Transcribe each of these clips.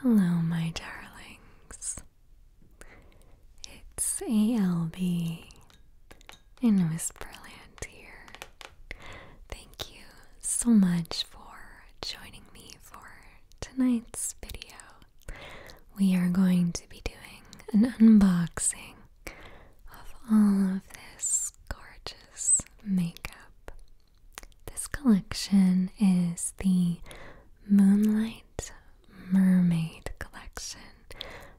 Hello, my darlings. It's ALB in Whisperland here. Thank you so much for joining me for tonight's video. We are going to be doing an unboxing of all of this gorgeous makeup. This collection is the Moonlight Mermaid Collection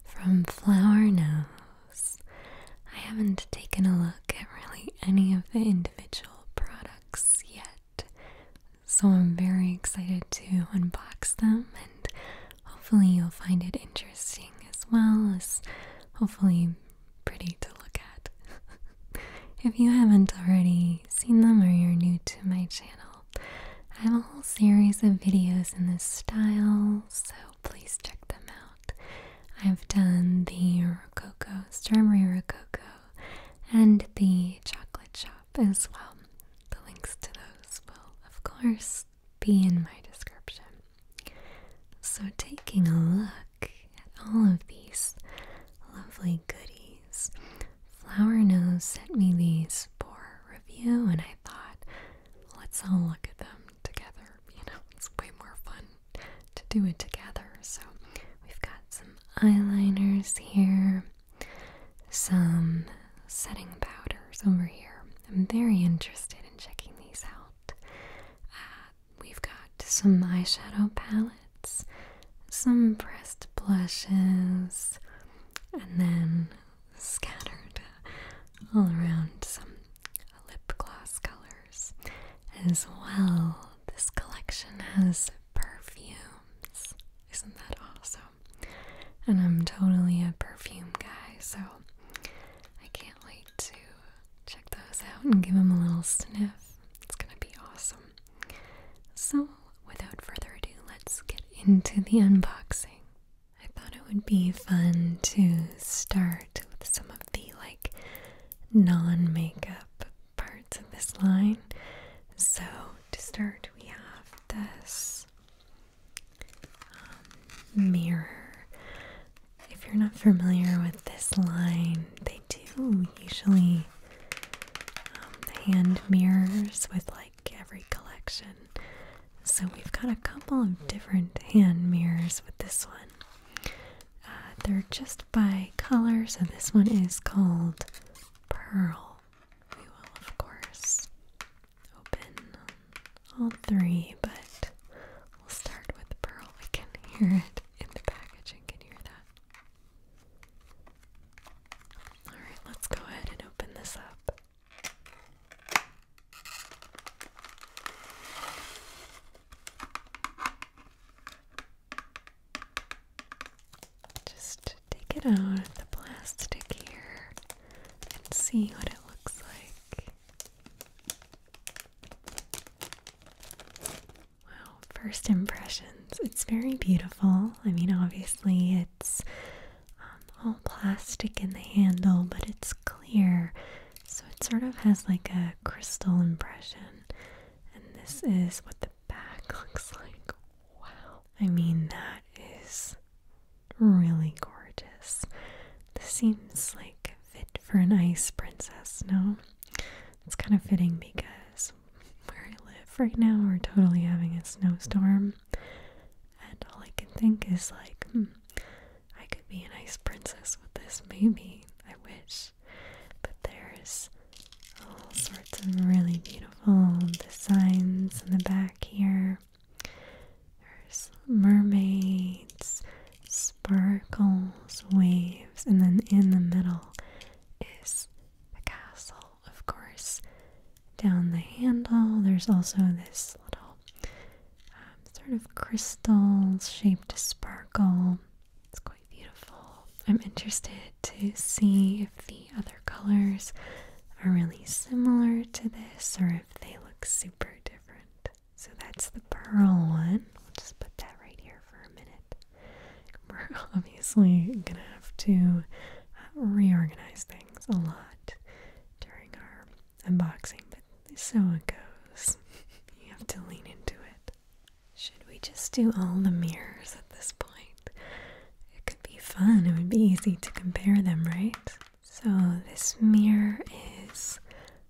from Flower Nose. I haven't taken a look at really any of the individual products yet, so I'm very excited to unbox them and hopefully you'll find it interesting as well as hopefully pretty to look at. if you haven't already seen them or you're new to my channel, I have a whole series of videos in this style, so please check them out. I've done the Rococo, Strawberry Rococo, and the Chocolate Shop as well. The links to those will, of course, be in my description. So, taking a look at all of these lovely goodies, Flower Nose sent me these for review, and I thought, let's all look at them together. You know, it's way more fun to do it together. So, we've got some eyeliners here, some setting powders over here. I'm very interested in checking these out. Uh, we've got some eyeshadow palettes some pressed blushes, and then scattered all around some lip gloss colors. As well, this collection has perfumes. Isn't that awesome? And I'm totally a perfume guy, so I can't wait to check those out and give them a little sniff. It's gonna be awesome. So, without further ado, let's get into the unboxing. I thought it would be fun to start with some of the like non makeup parts of this line. So, to start, we have this um, mirror. If you're not familiar with this line, they do usually um, hand mirrors with like every collection. So we've got a couple of different hand mirrors with this one. Uh, they're just by color, so this one is called Pearl. We will, of course, open all three, but we'll start with Pearl. We can hear it in the packaging. Can hear that? All right, let's go ahead and open this up. Just take it out of the plastic here and see what it looks like. Wow, first impressions. It's very beautiful. I mean, obviously, it's um, all plastic in the handle, but it's clear. So it sort of has like a crystal impression. And this is what the back looks like. Wow. I mean, that is really gorgeous. This seems like fit for an ice princess, no? It's kind of fitting because where I live right now, we're totally having a snowstorm, and all I can think is like, hmm, I could be an ice princess with this, maybe. I wish, but there's all sorts of really beautiful designs in the back here. There's mermaids, sparkles, waves, and then in the middle is the castle, of course. Down the handle, there's also this little um, sort of crystal shaped sparkle. It's quite beautiful. I'm interested to see if the other colors are really similar to this or if they look super different. So that's the pearl one. We'll just put that right here for a minute. we're obviously gonna have to reorganize things a lot during our unboxing, but so it goes. you have to lean into it. Should we just do all the mirrors at this point? It could be fun. It would be easy to compare them, right? So this mirror is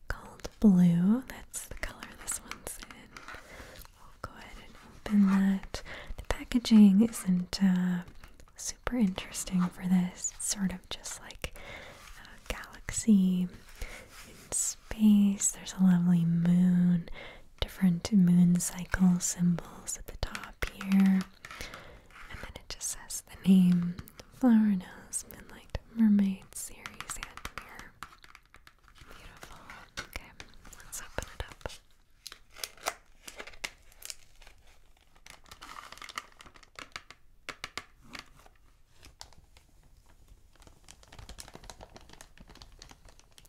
called blue. That's the color this one's in. I'll go ahead and open that. The packaging isn't uh, super interesting for this. It's sort of just like a galaxy in space. There's a lovely moon, different moon cycle symbols at the top here. And then it just says the name Flower Nose Midnight Mermaid Series and Mirror. Beautiful. Okay, let's open it up.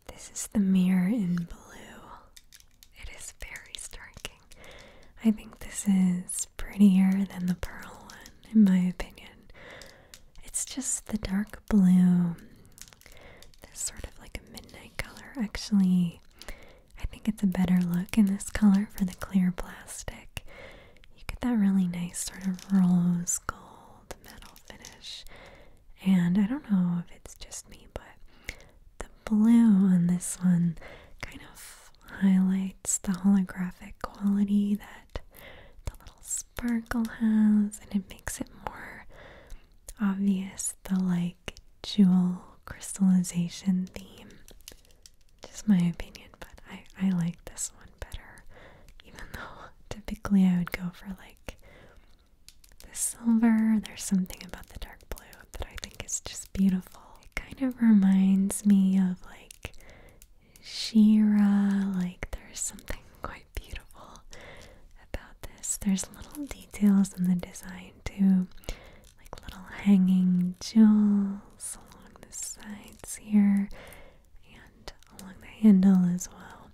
This is the mirror in blue. It is very striking. I think this is prettier than the pearl one, in my opinion. It's just the dark blue this sort of like a midnight color. Actually, I think it's a better look in this color for the clear plastic. You get that really nice sort of rose gold metal finish. And I don't know if it's just me, but the blue on this one kind of highlights the holographic quality that the little sparkle has, and it makes it more obvious the like jewel crystallization theme. Just my opinion, but I, I like this one better, even though typically I would go for like the silver. There's something about the dark blue that I think is just beautiful. It kind of reminds me of like Shira, like there's something quite beautiful about this. There's little details in the design too, like little hanging jewels along the sides here and along the handle as well.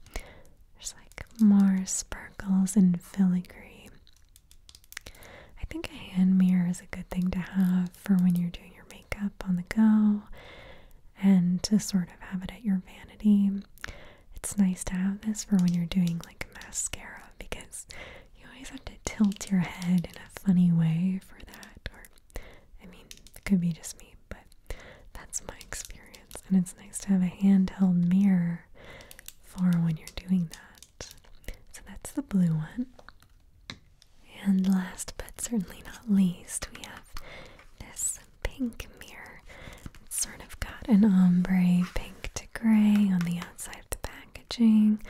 There's like more sparkles and filigree. I think a hand mirror is a good thing to have for when you're doing your makeup on the go and to sort of have it at your vanity it's nice to have this for when you're doing like mascara because you always have to tilt your head in a funny way for that. Or, I mean, it could be just me, but that's my experience. And it's nice to have a handheld mirror for when you're doing that. So that's the blue one. And last but certainly not least, we have this pink mirror. It's sort of got an ombre pink to gray on the outside of the packaging.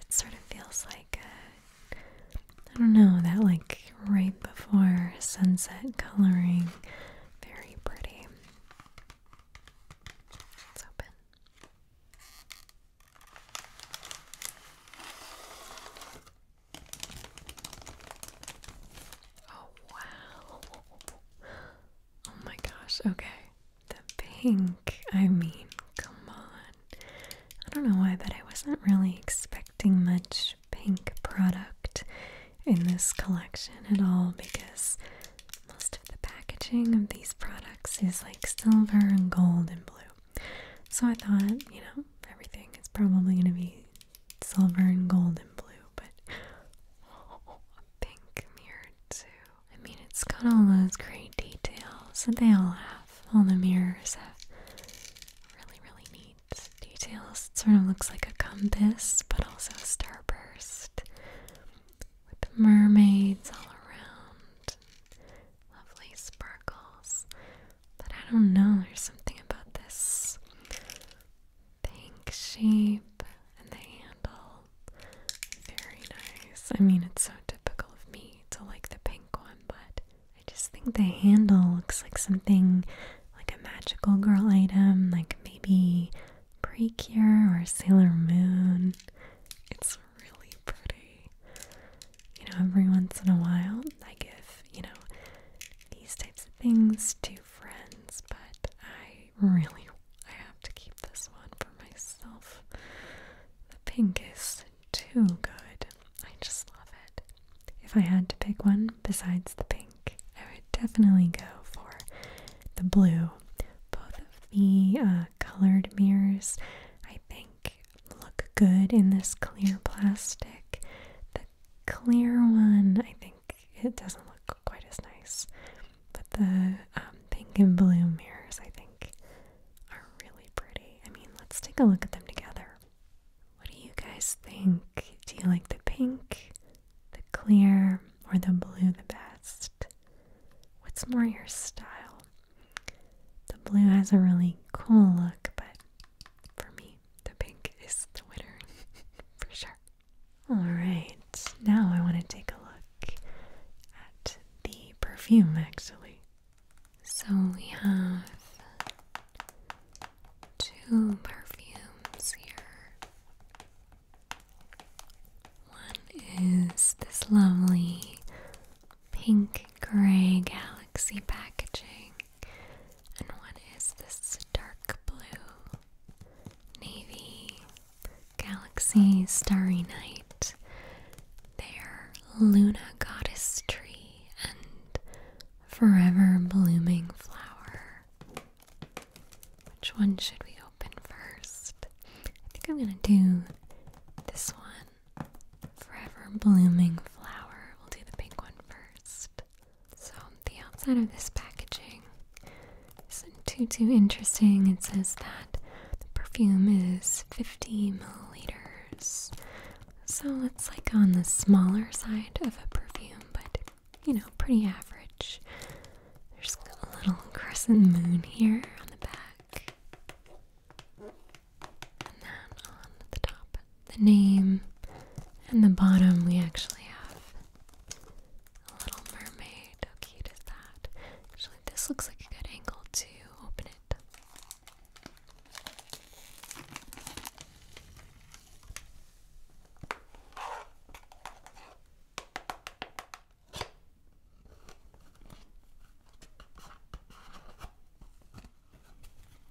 It sort of feels like a, I don't know, that like right before sunset coloring. Very pretty. Let's open. Oh wow. Oh my gosh, okay. The pink, I mean, come on. I don't know why, but I wasn't really expecting much pink product in this collection at all because most of the packaging of these products is like silver and gold and blue. So I thought, you know, everything is probably going to be silver and gold and blue but a pink mirror too. I mean, it's got all those great details that they all have. All the mirrors have really, really neat details. It sort of looks like a compass, but also a starburst with mermaids all around. Lovely sparkles. But I don't know, there's something about this the ink shape and the handle. Very nice. I mean, it's so typical of me to like the pink one, but I just think the handle looks like something like a magical girl item, like maybe Precure or Sailor Moon. It's really pretty. You know, every once in a while I give, you know, these types of things to friends, but I really, I have to keep this one for myself. The pink is too good. I just love it. If I had to pick one besides the pink, I would definitely go for the blue. Both of the uh, colored mirrors, I think, look good in this clear plastic. The clear one, I think it doesn't look quite as nice. But the um, pink and blue mirrors, I think, are really pretty. I mean, let's take a look at them together. What do you guys think? Do you like the pink, the clear, or the blue the best? What's more your style? The blue has a really cool look, but for me, the pink is the winner for sure. Alright, now I want to take a look at the perfume actually. So we have two perfumes here. One is this lovely pink gray galaxy packaging, and one is this dark blue Navy, Galaxy, Starry Night, their Luna Goddess Tree, and Forever Blooming Flower. Which one should we open first? I think I'm gonna do this one. Forever Blooming Flower. We'll do the pink one first. So the outside of this packaging isn't too too interesting. It says that the perfume is 50 milliliters. So it's like on the smaller side of a perfume, but you know, pretty average. There's a little crescent moon here on the back. And then on the top, the name. And the bottom, we actually have a Little Mermaid. How cute is that? Actually, this looks like a good angle to open it.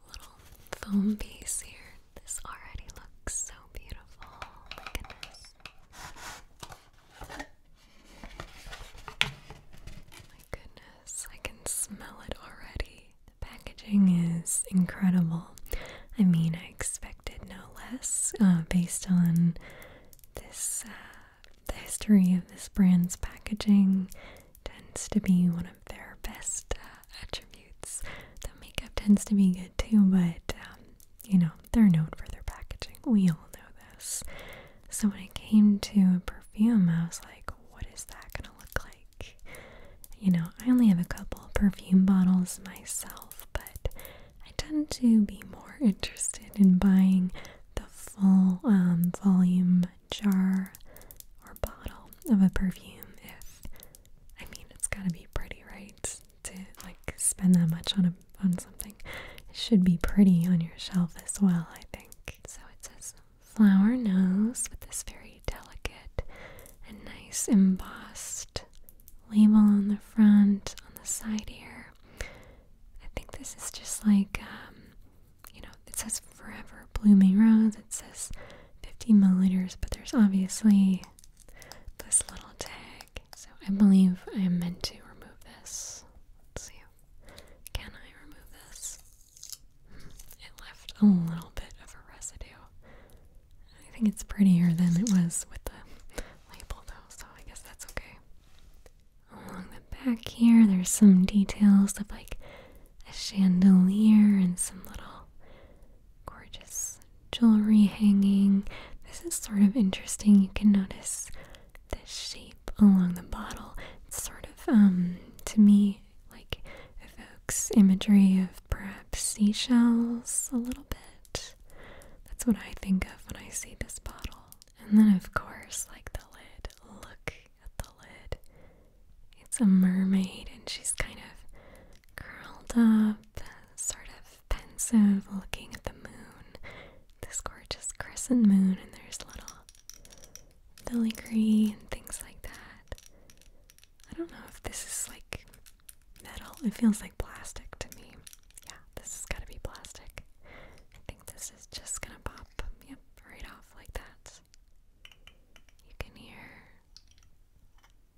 Little foam piece here. This already looks so beautiful. Oh my goodness. My goodness, I can smell it already. The packaging is incredible. I mean, I expected no less uh, based on this, uh, the history of this brand's packaging tends to be one of their best uh, attributes. The makeup tends to be good too, but um, you know, they're known for their packaging. We all know this. So when it came to perfume, I was like, what is that going to look like? You know, I only have a couple perfume bottles myself, but I tend to be more interested in buying the full um, volume jar or bottle of a perfume if, I mean, it's going to be pretty, right? to like spend that much on a on something. should be pretty on your shelf as well, I think. So it says flower nose with this very delicate and nice embossed label on the front, on the side here. I think this is just like um, you know, it says forever blooming rose, it says 50 milliliters, but there's obviously this little tag. So I believe I am meant to remove this. see. Can I remove this? Hmm, it left a little bit of a residue. I think it's prettier than it was with the label though, so I guess that's okay. Along the back here, there's some details of like a chandelier and some little gorgeous jewelry hanging. This is sort of interesting. You can notice the shape along the bottle. It's sort of, um, to me, like evokes imagery of perhaps seashells a little bit. That's what I think of when I see this bottle. And then, of course, like the lid. Look at the lid. It's a mermaid, and she's kind of curled up, sort of pensive, looking at the moon. This gorgeous crescent moon, and there's little filigree and things like that. I don't know if this is like metal. It feels like plastic to me. Yeah, this has got to be plastic. I think this is just gonna pop, yep, right off like that. You can hear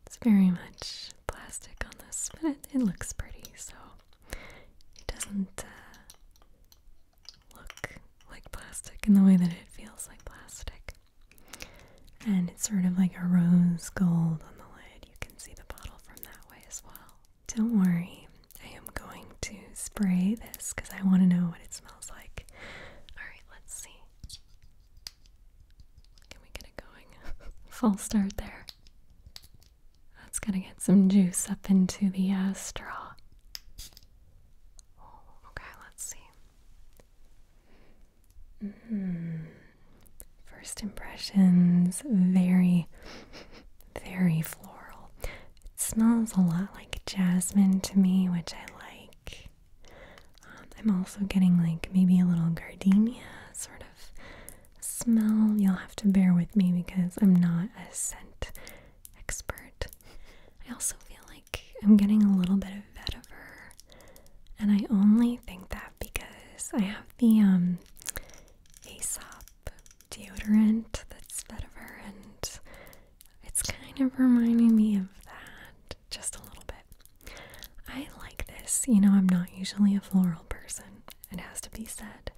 it's very much plastic on this, but it, it looks pretty, so it doesn't uh, look like plastic in the way that it feels like plastic. And it's sort of like a rose gold on the lid. You can see the bottle from that way as well. Don't worry, I am going to spray this because I want to know what it smells like. Alright, let's see. Can we get it going? Full start there. That's gonna get some juice up into the uh, straw. Oh, okay, let's see. -hmm. First impressions, very, very floral. It smells a lot like jasmine to me, which I like. Um, I'm also getting like maybe a little gardenia sort of smell, you'll have to bear with me because I'm not a scent expert. I also feel like I'm getting a little bit of vetiver, and I only think that because I have the um, Aesop deodorant that's vetiver, and it's kind of reminding me of that just a little bit. I like this. You know, I'm not usually a floral person it has to be said.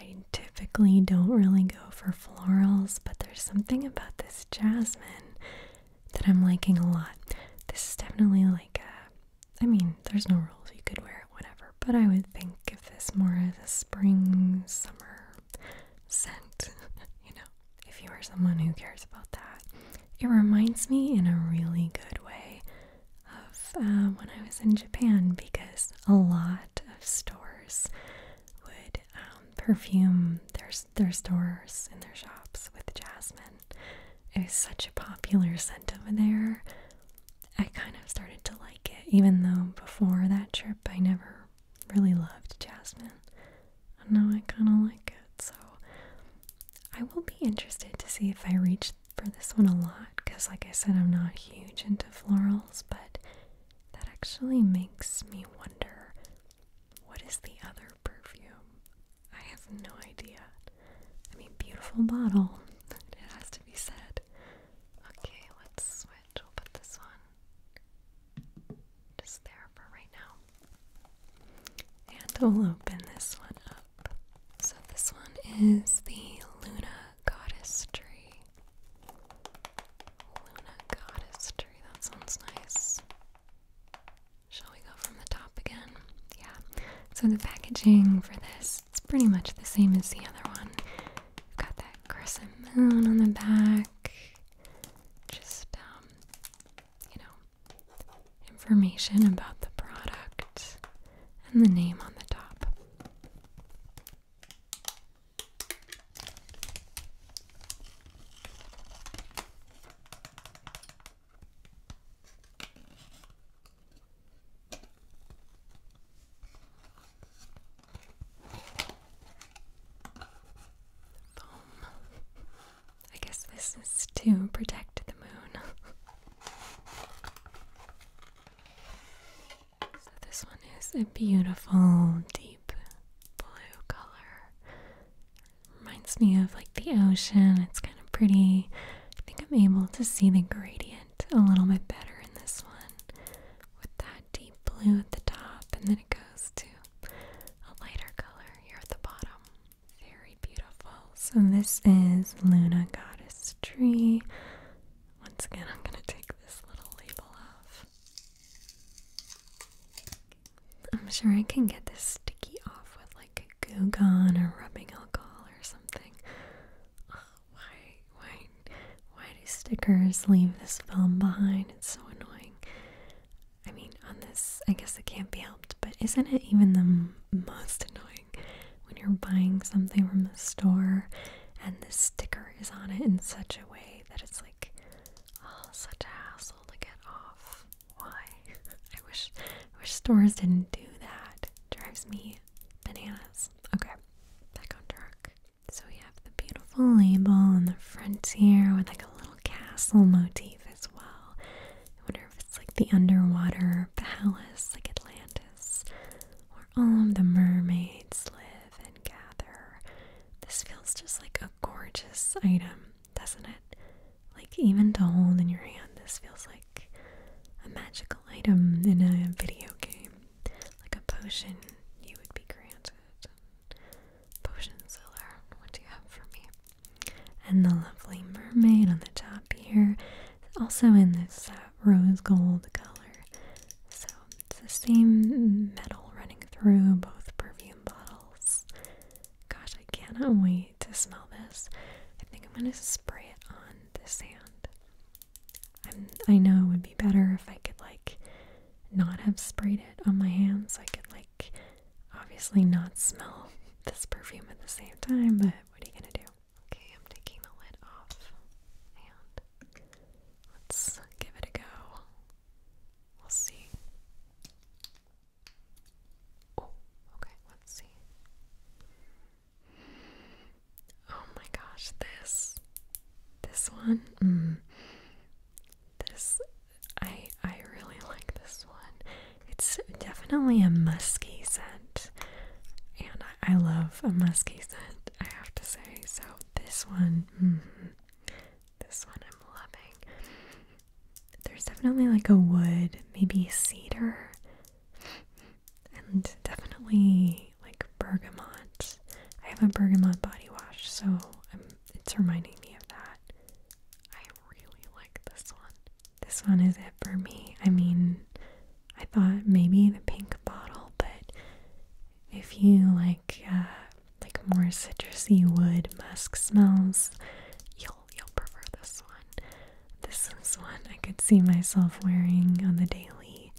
I typically don't really go for florals, but there's something about this jasmine that I'm liking a lot. This is definitely like a, I mean, there's no rules, you could wear it whatever, but I would think if this more of a spring, summer scent, you know, if you are someone who cares about that. It reminds me in a really good way of um, when I was in Japan because a lot of stores would um, perfume their their stores and their shops with jasmine. It was such a popular scent over there. I kind of started to like it, even though before that trip I never really loved jasmine. And now I kind of like it, so I will be interested to see if I reach for this one a lot because, like I said, I'm not huge into florals, but that actually makes me wonder what is the other perfume? I have no idea. I mean, beautiful bottle, it has to be said. Okay, let's switch. We'll put this one just there for right now. And we'll open this one up. So this one is the Luna Goddess Tree. Luna Goddess Tree, that sounds nice. Shall we go from the top again? Yeah. So the packaging for this, it's pretty much the same as the other one. We've got that crescent moon on the back. Just um, you know, information about the product and the name on the top. I guess this is to protect the moon. So this one is a beautiful deep blue color. Reminds me of like the ocean. It's kind of pretty. I think I'm able to see the gradient a little bit better in this one with that deep blue at the top and then it goes to a lighter color here at the bottom. Very beautiful. So this is Luna Goddess Tree. Once again, I'm going to take this little label off. I'm sure I can get this sticky off with like a Goo Gone or rubbing alcohol or something. why, why, why do stickers leave this film behind? It's so annoying. I mean, on this, I guess it can't be helped, but isn't it even the most annoying when you're buying something from the store and the sticker is on it in such a way that it's like, oh, such a hassle to get off. Why? I wish, I wish stores didn't do that. drives me bananas. Okay, back on track. So we have the beautiful label on the front here with like a little castle motif as well. I wonder if it's like the underwater palace, like Atlantis, where all of the mermaids live and gather. This feels just like a gorgeous item, doesn't it? Like, even to hold in your hand, this feels like a magical item in a video game, like a potion you would be granted. Potion seller, what do you have for me? And the lovely mermaid on the top here. Also, in this uh, rose gold color. So it's the same metal running through both perfume bottles. Gosh, I cannot wait to smell this. I think I'm gonna spray it on the sand. i know it would be better if I could like not have sprayed it on my hands. So I could like obviously not smell this perfume at the same time, but what are you gonna do? Okay, I'm taking the lid off and let's give it a go. We'll see. Oh, okay, let's see. Oh my gosh, this this one. Mm. this I I really like this one. It's definitely a musky scent and I love a musky scent, I have to say. So this one, mm-hmm. this one I'm loving. There's definitely like a wood, maybe cedar, and definitely like bergamot. I have a bergamot body wash, so it's reminding me of that. I really like this one. This one is it for me. I mean, I thought maybe the pink bottle, but if you like uh, like more citrusy wood musk smells, you'll you'll prefer this one. This is one I could see myself wearing on the daily,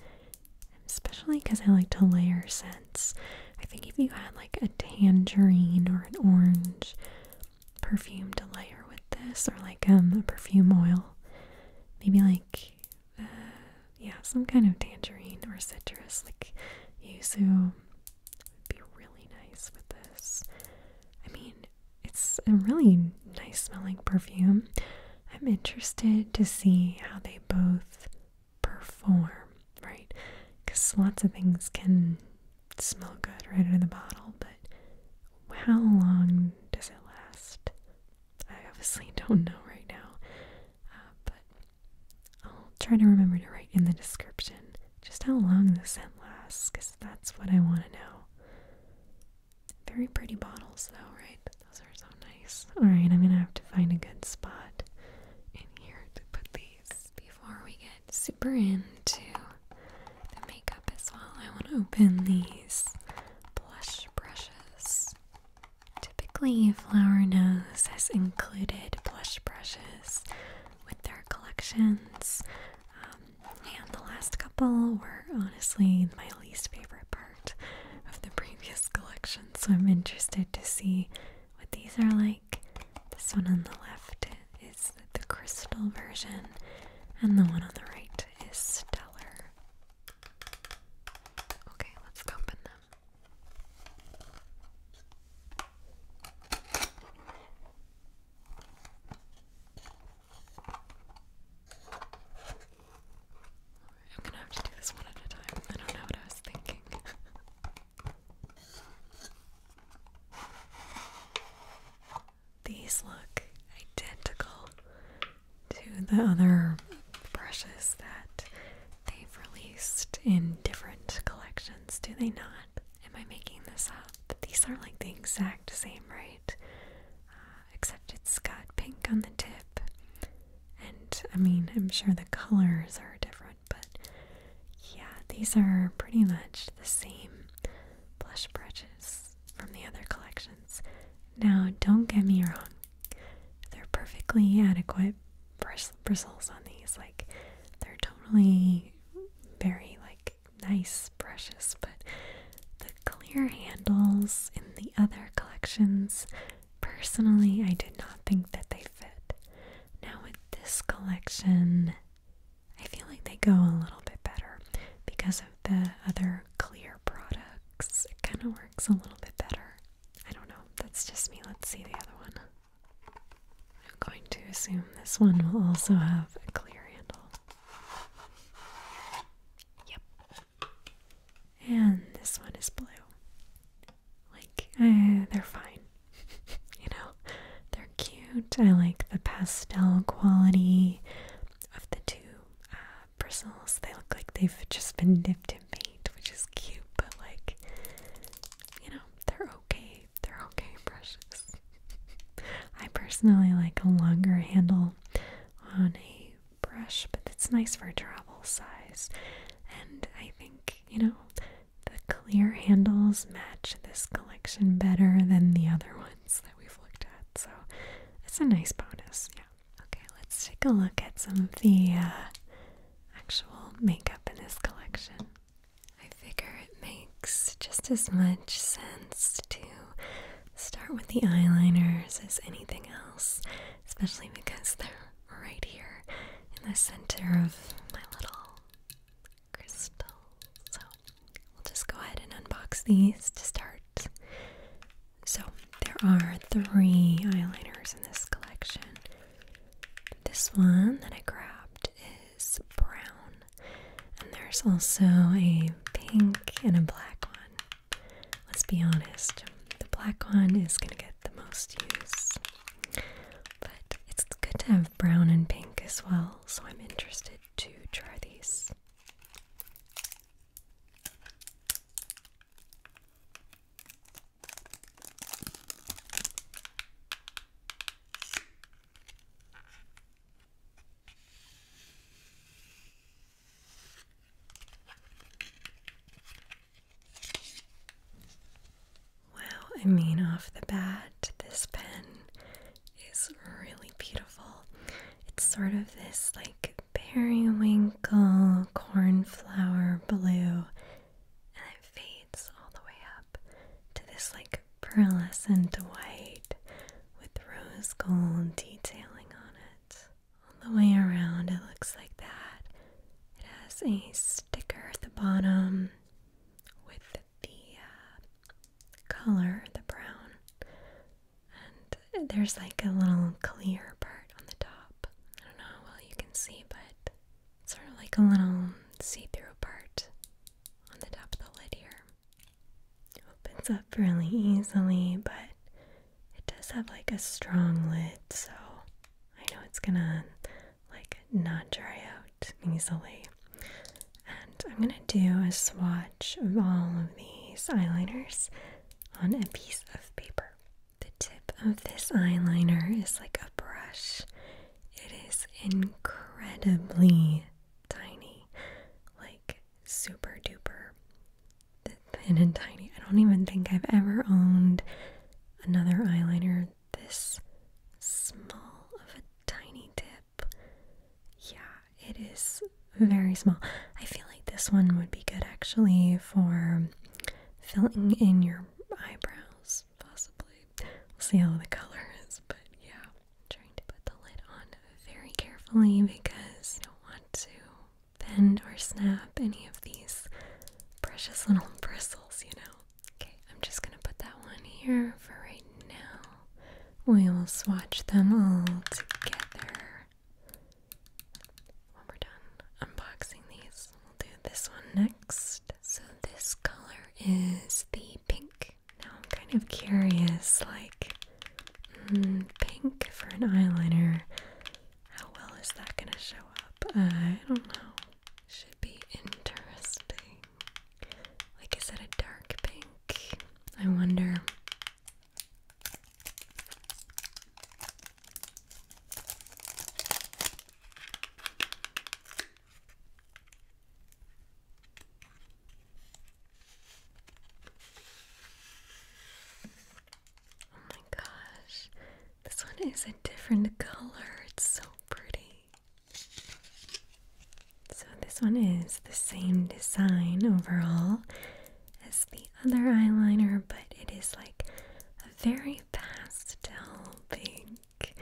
especially because I like to layer scents. I think if you had like a tangerine or an orange perfume to layer with this, or like um, a perfume oil, maybe like uh, yeah, some kind of tangerine or citrus, like yuzu would be really nice with this. I mean, it's a really nice smelling perfume. I'm interested to see how they both perform, right? Because lots of things can smell good right out of the bottle, but how long does it last? I obviously don't know right now, uh, but I'll try to remember to write in the description just how long the scent lasts, because that's what I want to know. Very pretty bottles, though, right? Those are so nice. Alright, I'm gonna have to find a good spot in here to put these before we get super into the makeup as well. I want to open these blush brushes. Typically, Flower knows has included blush brushes with their collections, um, and the last couple were honestly my least favorite part of the previous collection, so I'm interested to see what these are like. This one on the left is the crystal version, and the one on the right is stellar. Okay, let's open them. I'm gonna have to do this one at a time. I don't know what I was thinking. These look identical to the other brushes that they've released in different collections, do they not? Am I making this up? These are like the exact same, right? Uh, except it's got pink on the tip. And I mean, I'm sure the colors are different, but yeah, these are pretty much the same blush brushes from the other collections. Now, don't get me wrong, they're perfectly adequate bristles on these. Like, they're totally very, like, nice brushes, but the clear handles in the other collections, personally, I did not think that they fit. Now, with this collection, I feel like they go a little bit better because of the other clear products. It kind of works works a little bit better. I don't know. That's just me. Let's see the other one. I'm going to assume this one will also have a clear handle. Yep. And this one is blue. Like, they're fine. you know, they're cute. I like the pastel quality of the two uh, bristles. They look like they've just been dipped in paint, which is cute, but like, you know, they're okay. They're okay brushes. I personally like a longer handle on a brush, but it's nice for travel size. And I think, you know, the clear handles match this collection better than the other ones that we've looked at. So it's a nice bonus, yeah. Okay, let's take a look at some of the uh, actual makeup in this collection. I figure it makes just as much sense to start with the eyeliners as anything else, especially because they're right here in the center of my little crystal. So we'll just go ahead and unbox these to start so, there are three eyeliners in this collection. This one that I grabbed is brown, and there's also a pink and a black one. Let's be honest, the black one is going to get the most use, but it's good to have brown and pink as well, so I'm interested to try these. Well, I mean, off the bat, this pen is really beautiful. It's sort of this like periwinkle cornflower blue, and it fades all the way up to this like pearlescent white with rose gold detailing on it. All the way around, it looks like that. It has a sticker at the bottom with the uh, color, the brown, there's like a little clear part on the top. I don't know how well you can see, but sort of like a little see through part on the top of the lid here. opens up really easily, but it does have like a strong lid, so I know it's gonna like not dry out easily. And I'm gonna do a swatch of all of these eyeliners on a piece of paper. The tip of this eyeliner is like a brush. It is incredibly tiny, like super duper thin and tiny. I don't even think I've ever owned another eyeliner this small of a tiny tip. Yeah, it is very small. I feel like this one would be good actually for filling in your eyebrows, possibly. We'll see how the color is, but yeah. I'm trying to put the lid on very carefully because I don't want to bend or snap any of these precious little bristles, you know. Okay, I'm just gonna put that one here for right now. We will swatch them all together. When we're done unboxing these, we'll do this one next. So this color is the pink. Now I'm kind of curious, like, hmm, pink for an eyeliner. How well is that gonna show up? I don't know. Should be interesting. Like, is it a dark pink? I wonder. Oh my gosh, this one is a different color. It's so pretty. So, this one is the same design overall as the other eyeliner, but it is like a very pastel pink,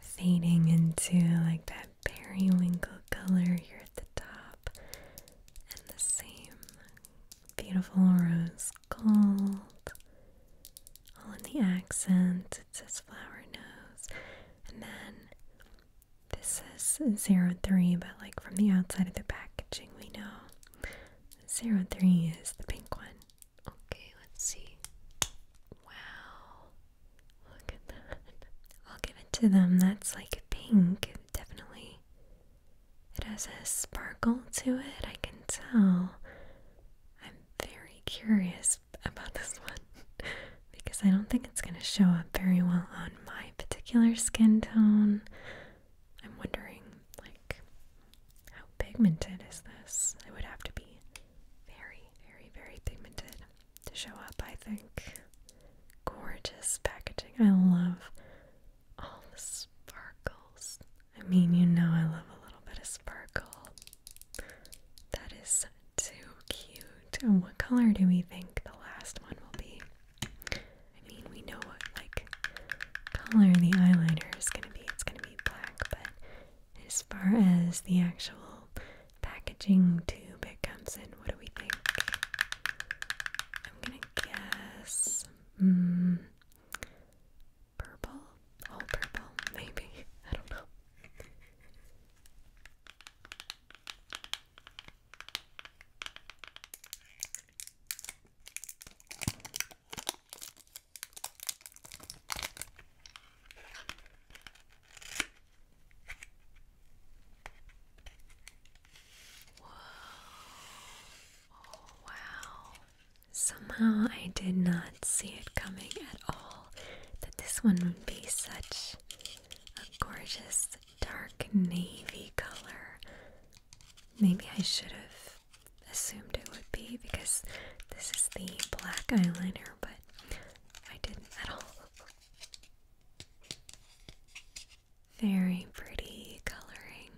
fading into like that periwinkle color here at the top, and the same beautiful rose gold. All in the accent, it says flower nose, and then this is 03, but like from the outside of the packaging, we know Zero three is the pink one. Okay, let's see. Wow. Look at that. I'll give it to them. That's like pink, definitely. It has a sparkle to it, I can tell. I'm very curious about this one because I don't think it's going to show up very well on my particular skin tone. I'm wondering, like, how pigmented is this? It would have to be very, very, very pigmented to show up, I think. Gorgeous packaging. I love all the sparkles. I mean, you know, I love a little bit of sparkle. That is too cute. And what color do we think the last one will be? I mean, we know what like color the eyeliner is gonna be. It's gonna be black, but as far as the actual packaging tube it comes in, what do we think? I'm gonna guess mm, purple, all purple, maybe. I don't know. Whoa. Oh, wow. Somehow I did not see it coming at all that this one would be such a gorgeous dark navy color. Maybe I should have assumed it would be because this is the black eyeliner, but I didn't at all. Very pretty coloring.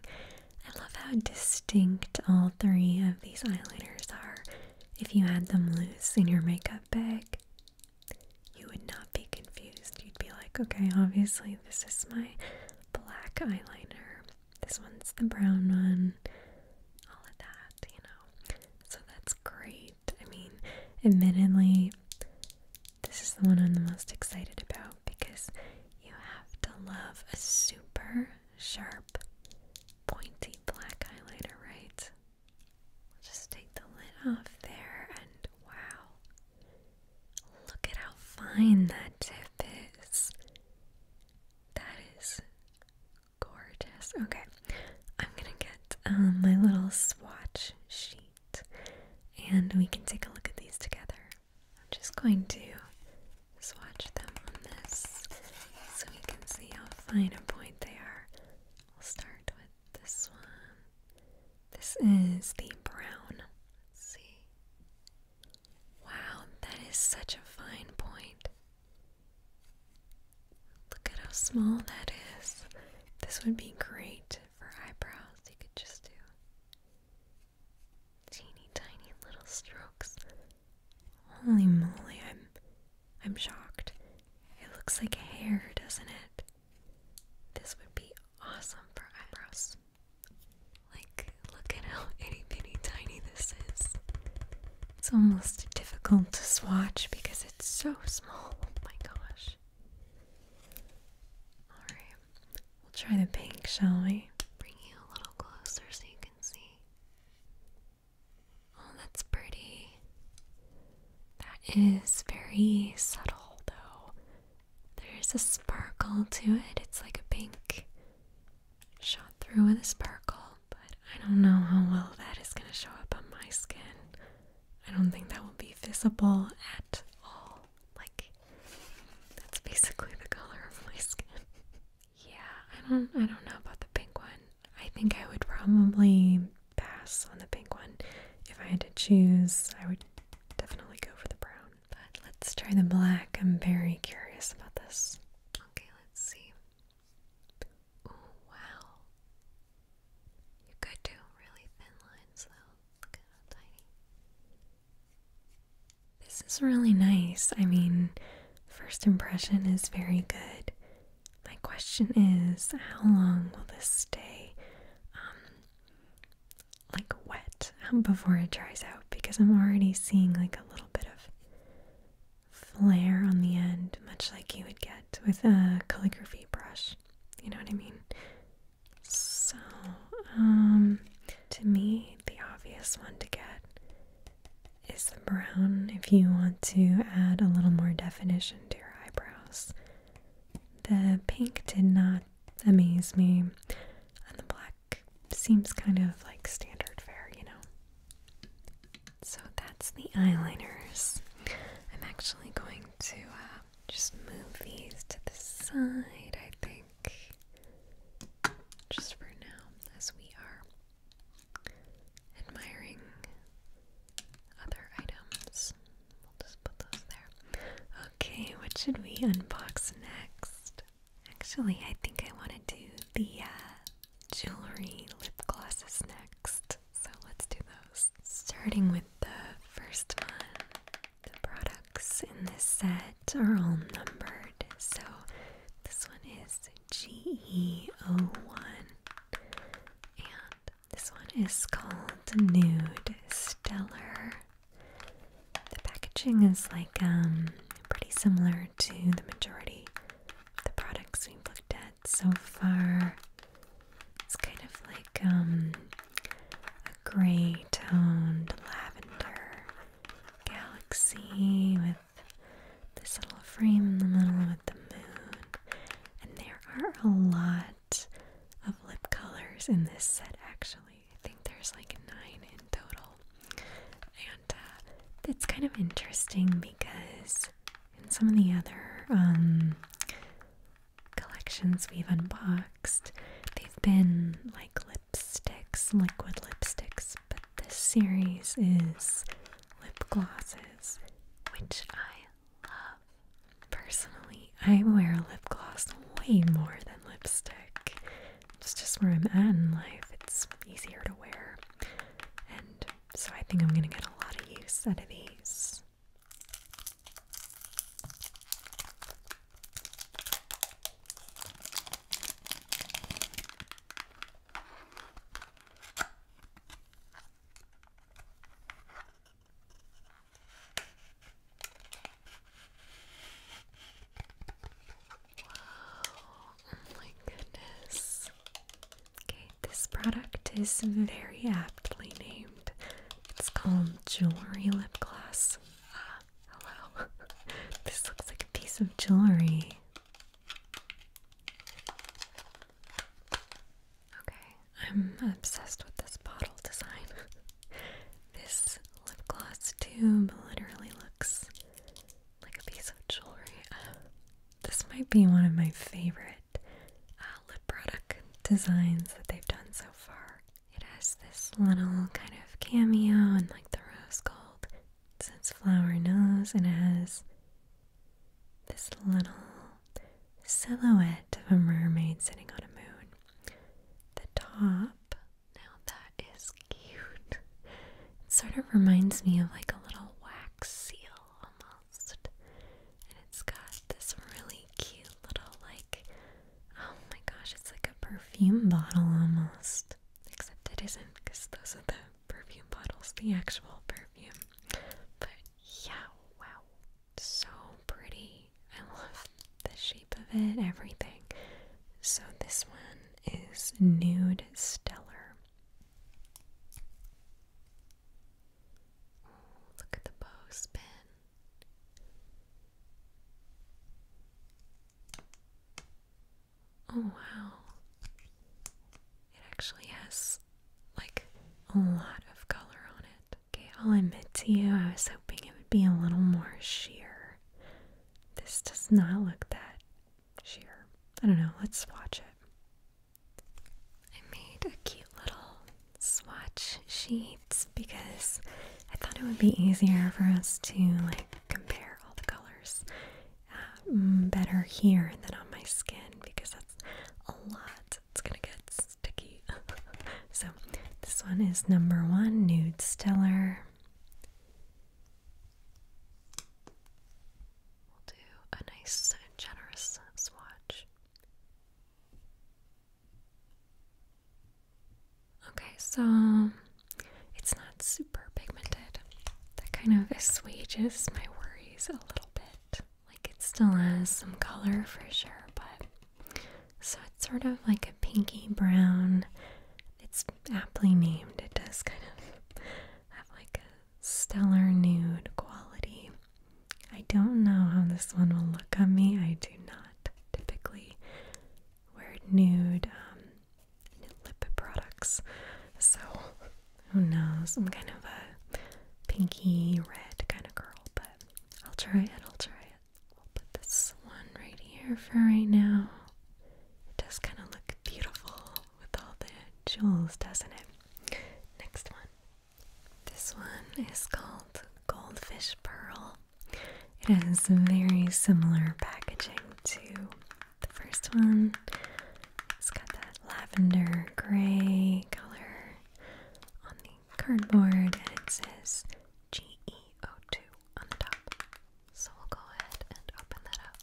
I love how distinct all three of these eyeliners are. If you had them loose in your makeup bag, you would not be confused. You'd be like, okay, obviously, this is my black eyeliner, this one's the brown one, all of that, you know. So that's great. I mean, admittedly, this is the one I'm the most excited about because you have to love a super sharp, pointy black highlighter, right? Just take the lid off there, and wow, Look at how fine that tip is. That is gorgeous. Okay, I'm gonna get um, my little swatch sheet and we can take a look at these together. I'm just going to swatch them on this so we can see how fine a point they are. I'll start with this one. This is the brown. Let's see. Wow, that is such a fine point. Look at how small that is. This would be great for eyebrows. You could just do teeny tiny little strokes. Holy moly, I'm I'm shocked. It looks like hair, doesn't it? This would be awesome for eyebrows. Like, look at how itty bitty tiny this is. It's almost difficult to swatch because it's so small. Oh my gosh. Alright, we'll try the pink, shall we? Bring you a little closer so you can see. Oh, that's pretty. That is very subtle, though. There's a sparkle to it. It's like a pink shot through with a sparkle, but I don't know how well that is going to show up on my skin. I don't think that will be visible at all. Like that's basically the color of my skin. yeah, I don't I don't know about the pink one. I think I would probably pass on the pink one. If I had to choose, I would definitely go for the brown. But let's try the black. I'm very curious about this. Okay, let's see. Oh, wow. You could do really thin lines though. Look at how tiny. This is really nice. I mean, first impression is very good. My question is, how long will this stay? Um, like wet um, before it dries out because I'm already seeing like a little bit of flare on the end, much like you would get with a calligraphy brush. You know what I mean? So, um, to me, the obvious one to get is the brown if you want to add a little more definition to your eyebrows. The pink did not amaze me and the black seems kind of like standard fare, you know. So that's the eyeliners. I'm actually going to uh, just move these to the side, I think, just for now, as we are admiring other items. We'll just put those there. Okay, what should we unbox next? Actually, I think I want to do the uh, jewelry lip glosses next. So let's do those. Starting with the first one. The products in this set are all numbered. So this one is Geo one And this one is called Nude Stellar the packaging is like um, pretty similar to the majority of the products we've looked at so far. It's kind of like um, a gray toned lavender galaxy with this little frame in the middle with the moon. And there are a lot of lip colors in this set actually. I think there's like a nine in total. And uh, it's kind of interesting because in some of the other um, collections we've unboxed, they've been like lipsticks, liquid lipsticks, but this series is lip glosses, which I love. Personally, I wear lip gloss way more than lipstick it's just where I'm at in life. It's easier to wear. And so I think I'm going to get a lot of use out of these. Oh my goodness. Okay, this product is very aptly named. It's called Jewelry Lip Gloss. Ah, hello. this looks like a piece of jewelry. Okay, I'm obsessed with this bottle design. This lip gloss tube literally looks like a piece of jewelry. this might be one of my favorite uh, lip product designs that they've done so far. It has this little kind of cameo and like the rose gold. It says flower nose and it has this little silhouette of a mermaid sitting on a moon. The top now that is cute. It sort of reminds me of like a little wax seal almost. And it's got this really cute little like oh my gosh, it's like a perfume bottle almost. Except it isn't because those are the perfume bottles, the actual perfume. But yeah, wow. So pretty. I love the shape of it, everything. So, this one is Nude Stellar. look at the bow spin. Oh wow. It actually has like a lot of color on it. Okay, I'll admit to you, I was hoping it would be a little more sheer. This does not look that sheer. I don't know, let's swatch it. I made a cute little swatch sheet because I thought it would be easier for us to like compare all the colors uh, mm, better here than on my skin because that's a lot. It's gonna get sticky. so this one is number one, Nude Stellar. We'll do a nice, generous swatch. Okay, so um, it's not super pigmented. That kind of assuages my worries a little bit. Like it still has some color for sure, but so it's sort of like a pinky brown it's aptly named. It does kind of have like a stellar nude quality. I don't know how this one will look on me. I do not typically wear nude, um, lip products. So who knows? I'm kind of a pinky red kind of girl, but I'll try it. I'll try it. I'll put this one right here for right now. It does kind of look beautiful with all the jewels, doesn't it? Next one. This one is called Goldfish Pearl. It has very similar packaging to the first one. It's got that lavender gray color on the cardboard and it says GEO2 on the top. So we'll go ahead and open that up.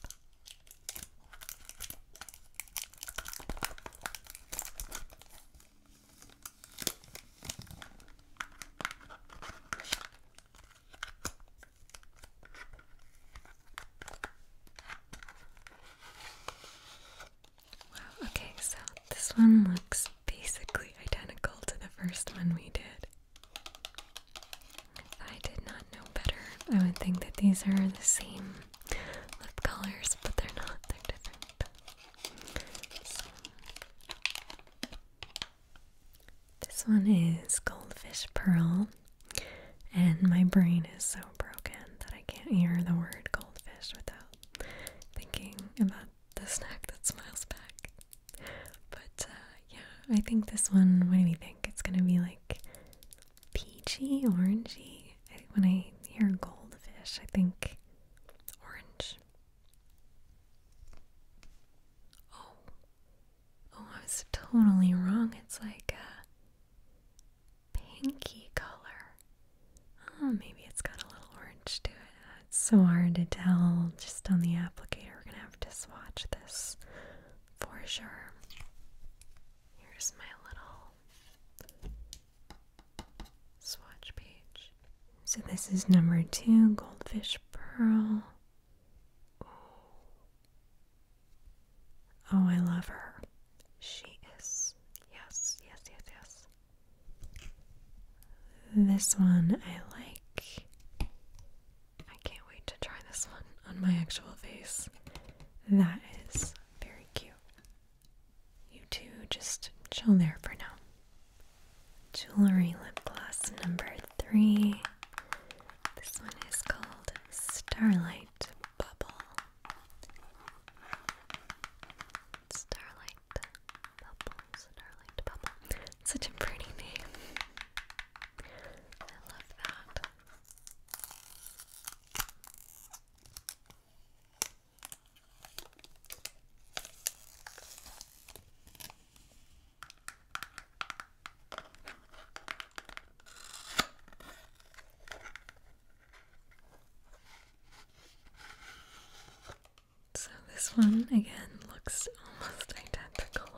Wow, okay, so this one looks basically identical to the first one we did. I did not know better. I would think that these are the same lip colors, but they're not, they're different. This one is Goldfish Pearl, and my brain is so broken that I can't hear the word goldfish without thinking about the snack that smiles back. But uh, yeah, I think this one, what do we think? It's gonna be like peachy, orangey. when I hear goldfish, I think orange. Oh, oh, I was totally wrong. It's like a pinky color. Oh, maybe it's got a little orange to it. It's so hard to tell just on the applicator. We're gonna have to swatch this for sure. Here's my little swatch page. So this is number two, Goldfish Pearl. Oh, I love her. She is. Yes, yes, yes, yes. This one I like. I can't wait to try this one on my actual face. That is very cute. You two just chill there for now. Jewelry lip gloss number three. This one is called Starlight Bubble. Starlight Bubble, Starlight Bubble. Such a pretty name. So, this one again looks almost identical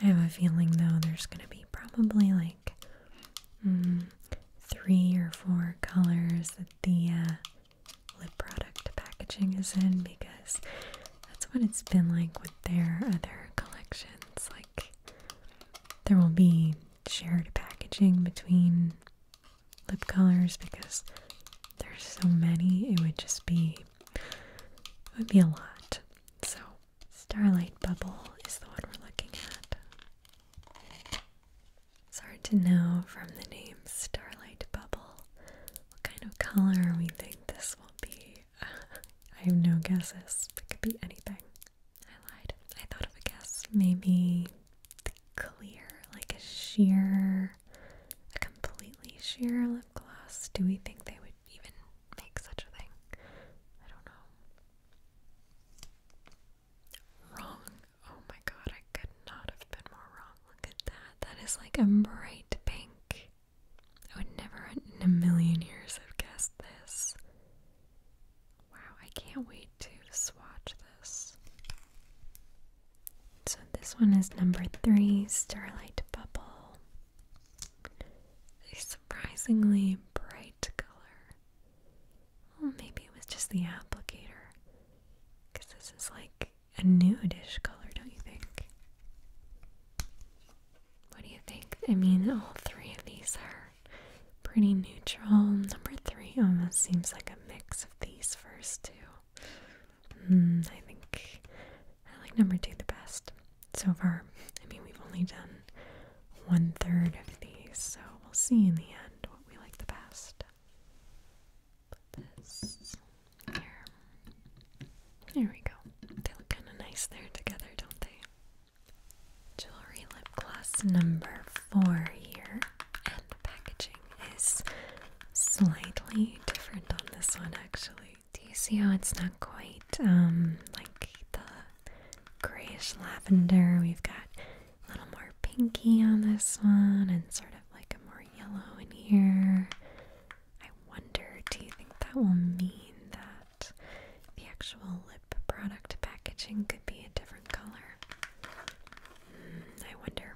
I have a feeling though there's going to be probably like mm, three or four colors that the uh, lip product packaging is in because that's what it's been like with their other collections. Like, there will be shared packaging between lip colors because there's so many, it would just be, it would be a lot. So, Starlight Bubble is the one we're looking at. It's hard to know from the name Starlight Bubble what kind of color we think this will be. I have no guesses. It could be anything. I lied. I thought of a guess. Maybe clear, like a sheer, a completely sheer lip gloss. Do we think they would even make such a thing? I don't know. Wrong. Oh my god, I could not have been more wrong. Look at that. That is like a bright pink. I would never in a million years have guessed this. Wow, I can't wait to swatch this. So, this one is number three Starlight Bubble surprisingly bright color. Well, maybe it was just the applicator. Because this is like a nudish color, don't you think? What do you think? I mean, all three of these are pretty neutral. Number three almost seems like a mix of these first two. Mm, I think I like number two the best so far. I mean, we've only done one third of these, so we'll see in the end what we like the best. this here. There we go. They look kind of nice there together, don't they? Jewelry lip gloss number four here, and the packaging is slightly different on this one actually. Do you see how it's not quite um like the grayish lavender? We've got a little more pinky on this one and sort of like a more yellow in here. I wonder, do you think that will mean that the actual lip product packaging could be a different color? Hmm, I wonder.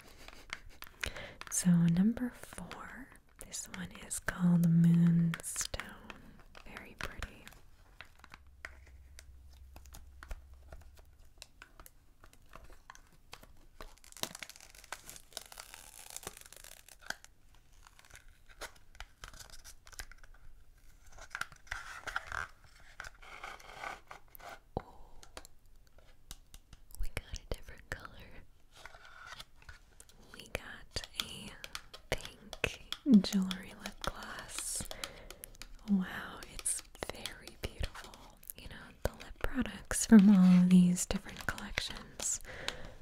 So, number four this one is called Moonstone. Very pretty. Oh, we got a different color we got a pink jewelry lip gloss. Wow, it's very beautiful. You know, the lip products from all of these different collections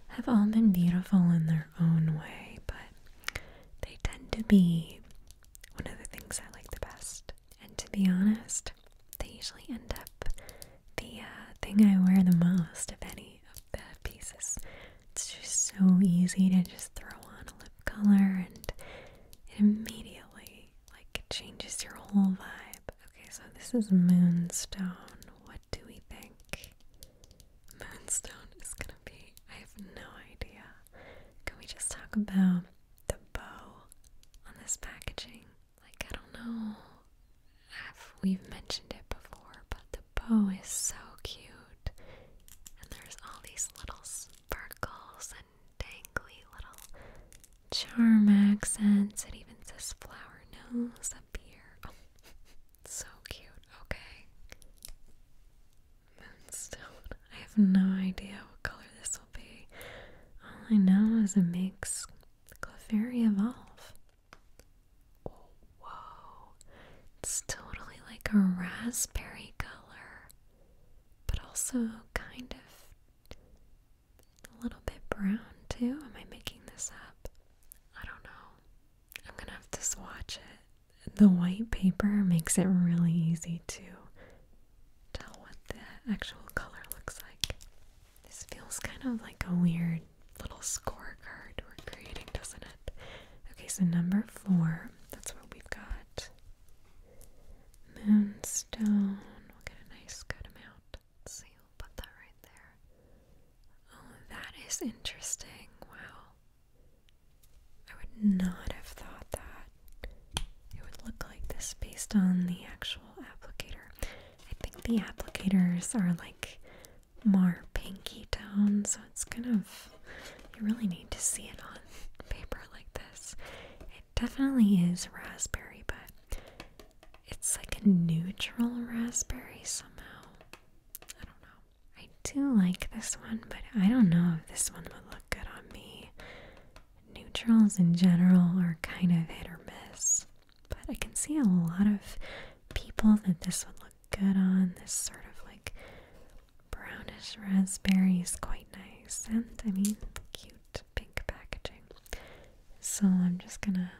have all been beautiful in their own way, but they tend to be one of the things I like the best. And to be honest, they usually end up the uh, thing I wear the most, if any, the pieces. It's just so easy to just throw on a lip color and it immediately like changes your whole vibe. Okay, so this is Moonstone. What do we think? Moonstone is gonna be I have no idea. Can we just talk about the bow on this packaging? Like I don't know i we've mentioned it before, but the bow is so cute. And there's all these little sparkles and dangly little charm accents. It even says flower nose up here. Oh, so cute. Okay. Moonstone. I have no idea what color this will be. All I know is it makes Clefairy evolve. Oh, whoa. It's totally like a raspberry color, but also kind of a little bit brown too. Am I making this up? I don't know. I'm gonna have to swatch it. The white paper makes it really easy to tell what the actual color looks like. This feels kind of like a weird little scorecard we're creating, doesn't it? Okay, so number four, that's what we've got. Moonstone, we'll get a nice good amount. see, we'll put that right there. Oh, that is interesting. Wow. I would not have thought that it would look like this based on the actual applicator. I think the applicators are like more pinky tone, so it's kind of, you really need to see it on paper like this. It definitely is raspberry, but it's like a neutral raspberry somehow. I don't know. I do like this one, but I don't know if this one would look good on me. Neutrals in general are kind of hit or miss, but I can see a lot of people that this would look good on. This sort of like brownish raspberry is quite nice. And I mean, cute pink packaging. So I'm just gonna.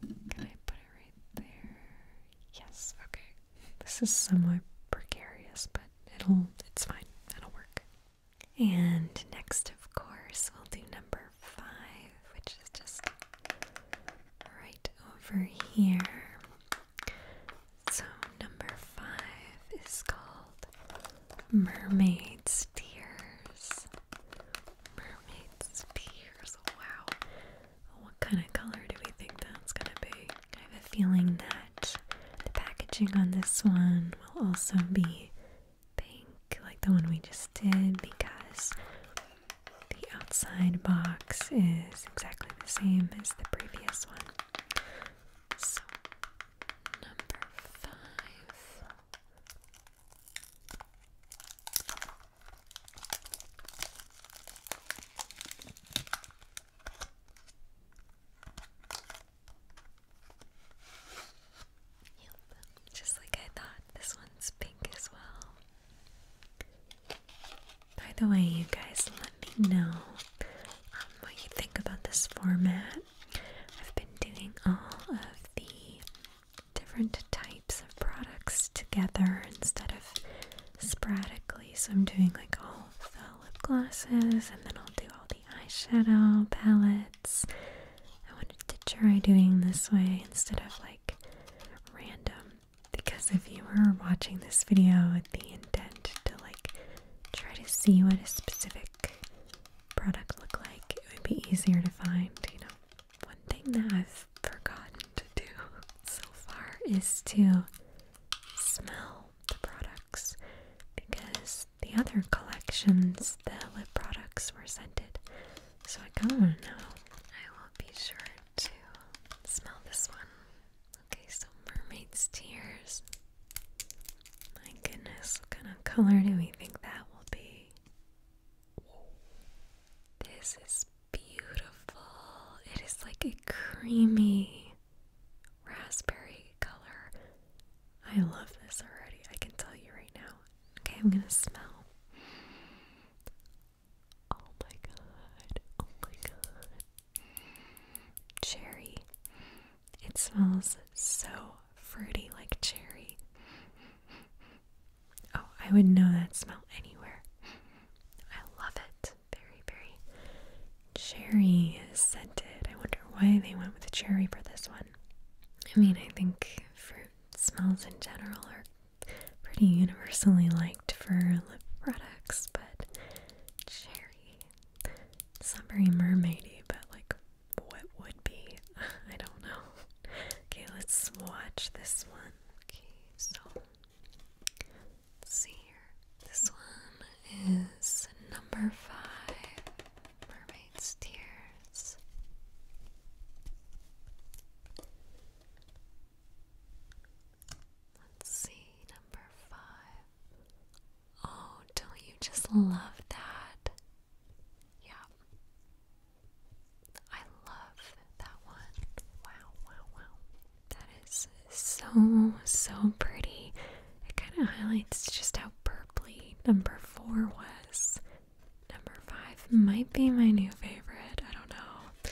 Can I put it right there? Yes, okay. This is somewhat precarious, but it'll. It's fine. That'll work. And next, of course, we'll do number five, which is just right over here. So, number five is called Mermaid Tears. Mermaid Tears, wow. What kind of color do we think that's gonna be? I have a feeling that the packaging on this one will also be pink, like the one we just did, because the outside box is exactly the same as the previous one. So, number five. just like I thought, this one's pink as well. By the way, you guys, let me know um, what you think about this format. I've been doing all of the different types of products together instead of sporadically. So I'm doing like all the lip glosses and then I'll do all the eyeshadow palettes. I wanted to try doing this way instead of like random because if you were watching this video with the intent to like try to see what a specific product looked like, it would be easier to find, you know. One thing that I've forgotten to do so far is to smell the products because the other collections, the lip products were scented. So I kind of know. I will be sure to smell this one. Okay, so mermaid's tears. My goodness, what kind of color do we think that will be? This is beautiful. It is like a creamy raspberry color. I love this already. I can tell you right now. Okay, I'm gonna smell. Oh my god. Oh my god. Cherry. It smells so fruity like cherry. Oh, I would know that smell anywhere. I love it. Very, very cherry scented. I wonder why they went with cherry for this one. I mean, I think fruit smells in general are pretty universally liked for lip products, but cherry. It's not very mermaidy, but like what would be? I don't know. Okay, let's swatch this one. Okay, so see here. This one is number five Mermaid's Tears. Let's see, number five. Oh, don't you just love that? Yeah. I love that one. Wow, wow, wow. That is so, so pretty. It kind of highlights just how purply number four was. Number five might be my new favorite. I don't know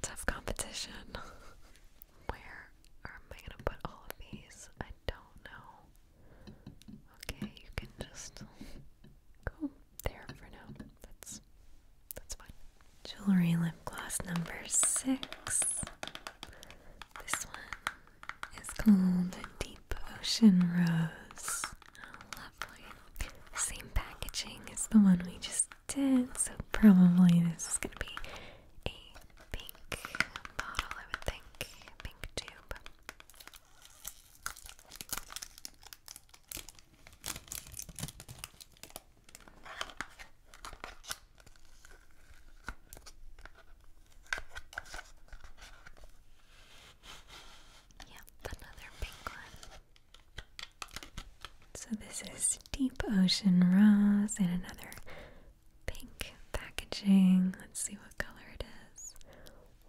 tough competition. Where am I gonna put all of these? I don't know. Okay, you can just go there for now. That's that's fine. Jewelry lip gloss number six. This one is called Deep Ocean Rose. lovely. Same packaging as the one we just so probably this is going to be a pink bottle, I would think. Pink tube. Yep, another pink one. So this is Deep Ocean Rose in another pink packaging. Let's see what color it is.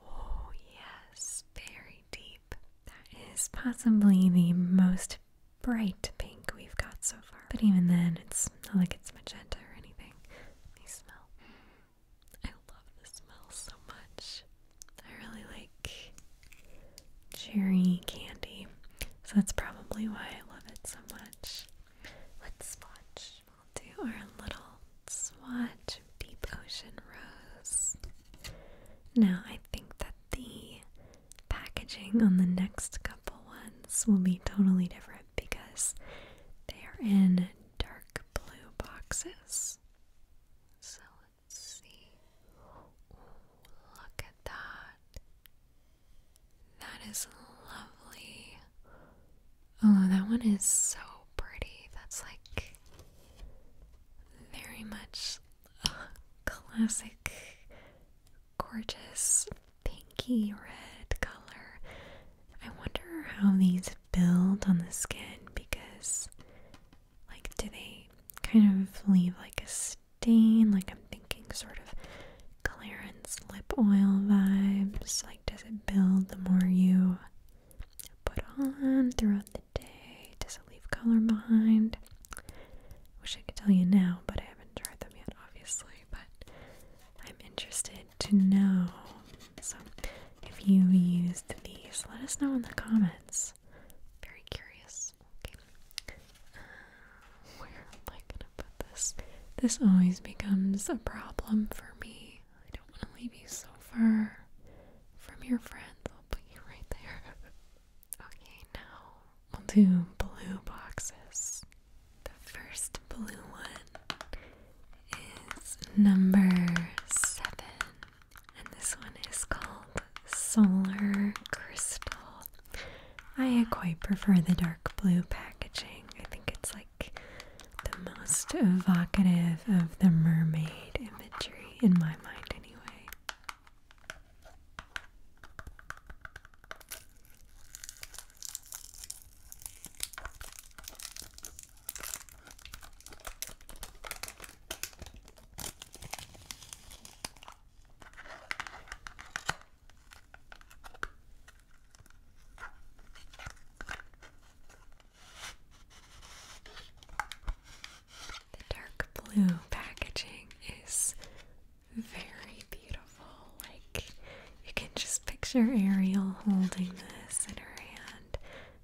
Oh yes, very deep. That is possibly the most bright pink we've got so far. But even then, it's not like it's magenta or anything. They smell. I love the smell so much. I really like cherry candy. So that's probably why I love it so much. Let's swatch. do our little swatch Deep Ocean Rose. Now, I think that the packaging on the next couple ones will be totally different because they are in dark blue boxes. So let's see. Look at that. That is lovely. Oh, that one is so pretty. That's like very much classic, gorgeous, pinky red color. I wonder how these build on the skin because, like, do they kind of leave like a stain, like I'm thinking sort of Clarence lip oil vibes. Like, does it build the more you put on throughout the day? Does it leave color behind? Wish I could tell you now, but I haven't tried them yet, obviously. But I'm interested to know. So, if you used these, let us know in the comments. Very curious this. Uh, where am I gonna put this? This always becomes a problem for me. I don't want to leave you so far from your friends. I'll put you right there. okay, now we'll do blue boxes. The first blue one is number seven, and this one is called solar crystal. I quite prefer the dark blue packaging. I think it's like the most evocative of the mermaid imagery in my mind, anyway. The dark blue packaging is very beautiful. Like, you can just picture Ariel holding this in her hand.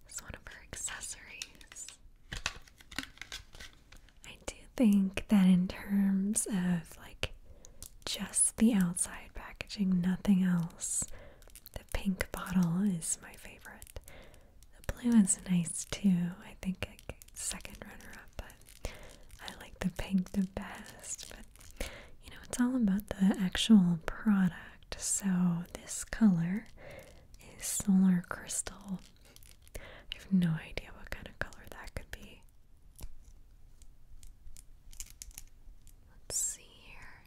as one of her accessories. I do think that in terms of like just the outside packaging, nothing else, the pink bottle is my favorite. The blue is nice too. I think like second runner up, but I like the pink the best. But you know, it's all about the actual product. So this color is Solar Crystal. I have no idea what kind of color that could be. Let's see here.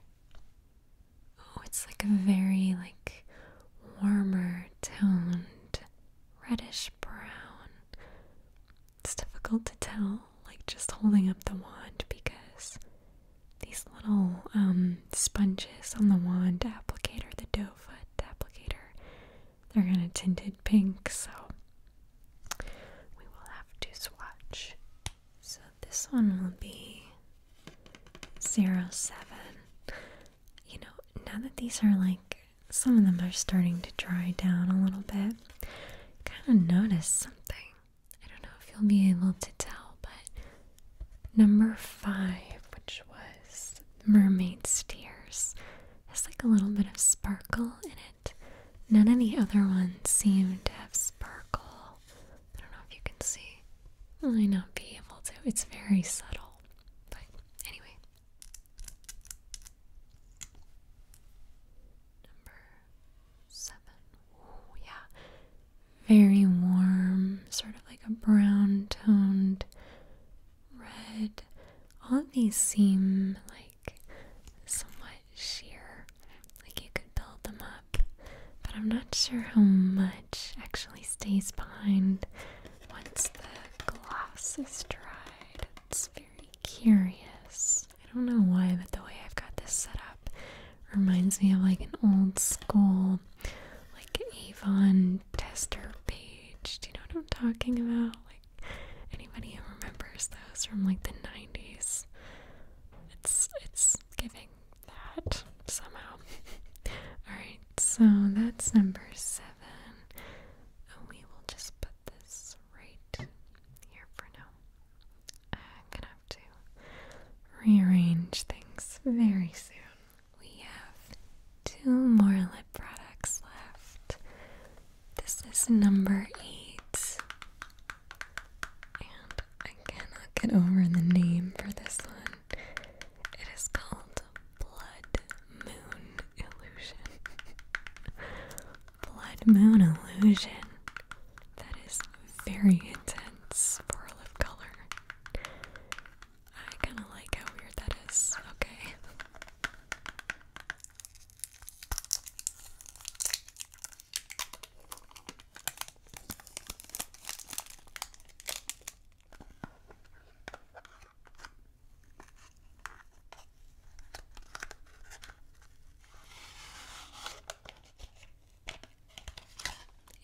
Oh, it's like a very like warmer toned reddish brown. It's difficult to tell, like just holding up the wand because these little um, sponges on the wand applicator, the doe foot applicator, they're kind of tinted pink, so we will have to swatch. So this one will be 07. You know, now that these are like, some of them are starting to dry down a little bit, kind of noticed something. I don't know if you'll be able to tell, but number five, which was mermaid's tears. Has like a little bit of sparkle in it. None of the other ones seem to have sparkle. I don't know if you can see. I might not be able to. It's very subtle. But anyway. Number seven. Oh yeah. Very warm, sort of like a brown toned red. All of these seem like somewhat sheer, like you could build them up, but I'm not sure how much actually stays behind once the glass is dried. It's very curious. I don't know why, but the way I've got this set up reminds me of like an old school, like Avon tester page. Do you know what I'm talking about? Anybody who remembers those from like the 90s, it's it's giving that somehow. All right, so that's number seven. Oh, we will just put this right here for now. I'm gonna have to rearrange things very soon. We have two more lip products left. This is number eight. And I cannot get over the name for this one. It is called Blood Moon Illusion. Blood Moon Illusion. That is very intense for a lip color. I kind of like how weird that is. Okay.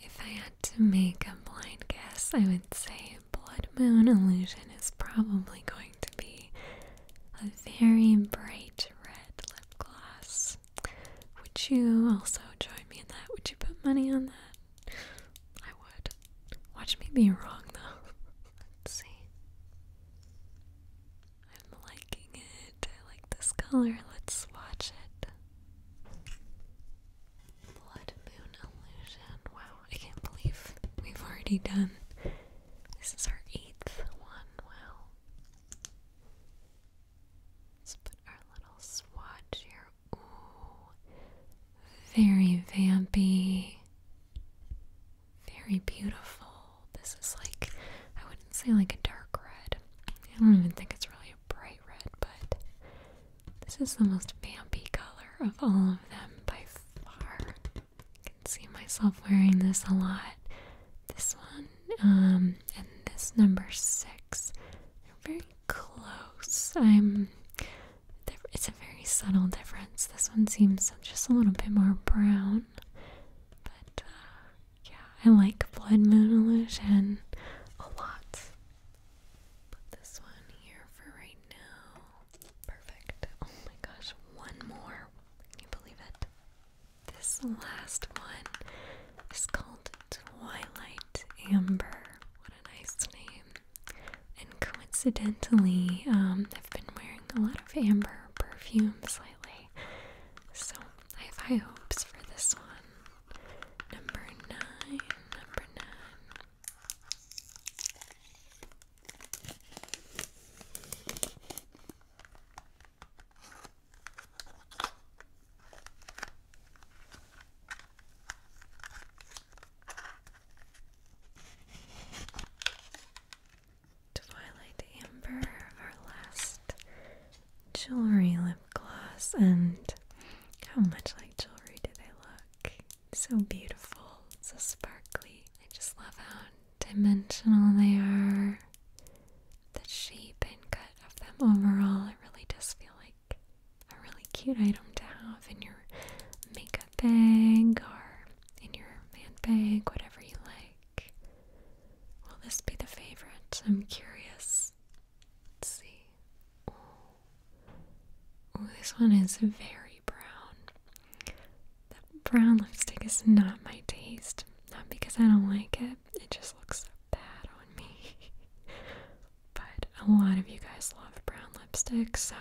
If I had to make a blind guess, I would say blood moon illusion is probably going to be a very bright red lip gloss. Would you also join me in that? Would you put money on that? I would. Watch me be wrong though. Let's see. I'm liking it. I like this color. Let's watch it. Blood moon illusion. Wow, I can't believe we've already done. This is our eighth one. Wow. Let's put our little swatch here. Ooh. Very vampy. Very beautiful. This is like, I wouldn't say like a dark red. I don't even think it's really a bright red, but this is the most vampy color of all of them by far. I can see myself wearing this a lot. This one, um, and this number six. They're very close. I'm. It's a very subtle difference. This one seems just a little bit more brown, but uh, yeah, I like Blood Moon Illusion a lot. Put this one here for right now. Perfect. Oh my gosh, one more. Can you believe it? This last one is called Twilight Amber. What a nice name. And coincidentally, um, I've been wearing a lot of amber perfumes lately. So I have high hopes for this one. Number nine, number nine. Twilight Amber, our last jewelry lip gloss, and how much like jewelry do they look? so beautiful, so sparkly. I just love how dimensional they are. The shape and cut of them overall, it really does feel like a really cute item to have in your makeup bag or in your handbag, whatever you like. Will this be the favorite? I'm curious. Let's see. Ooh. this one is very brown. That brown lipstick is not my taste. Not because I don't like it, it just looks so bad on me. but a lot of you guys love brown lipstick, so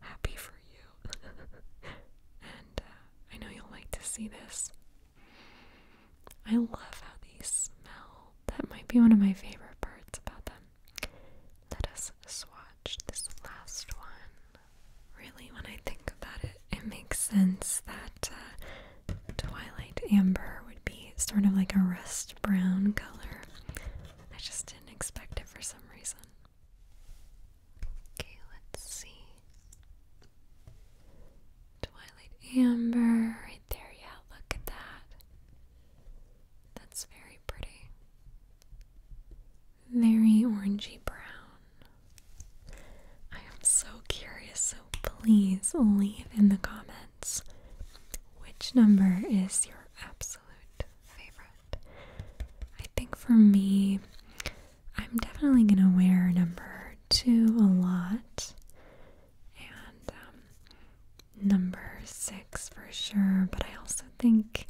happy for you. and uh, I know you'll like to see this. I love how these smell. That might be one of my favorite parts about them. Let us swatch this last one really, when I think about it, it makes sense that uh, Twilight Amber would be sort of like a rust brown color. I just didn't expect it for some reason. Okay, let's see. Twilight Amber, right there, yeah, look at that. That's very pretty very orangey brown. I am so curious, so please leave in the comments which number is your absolute favorite. I think for me, I'm definitely gonna wear number two a lot and um, number six for sure, but I also think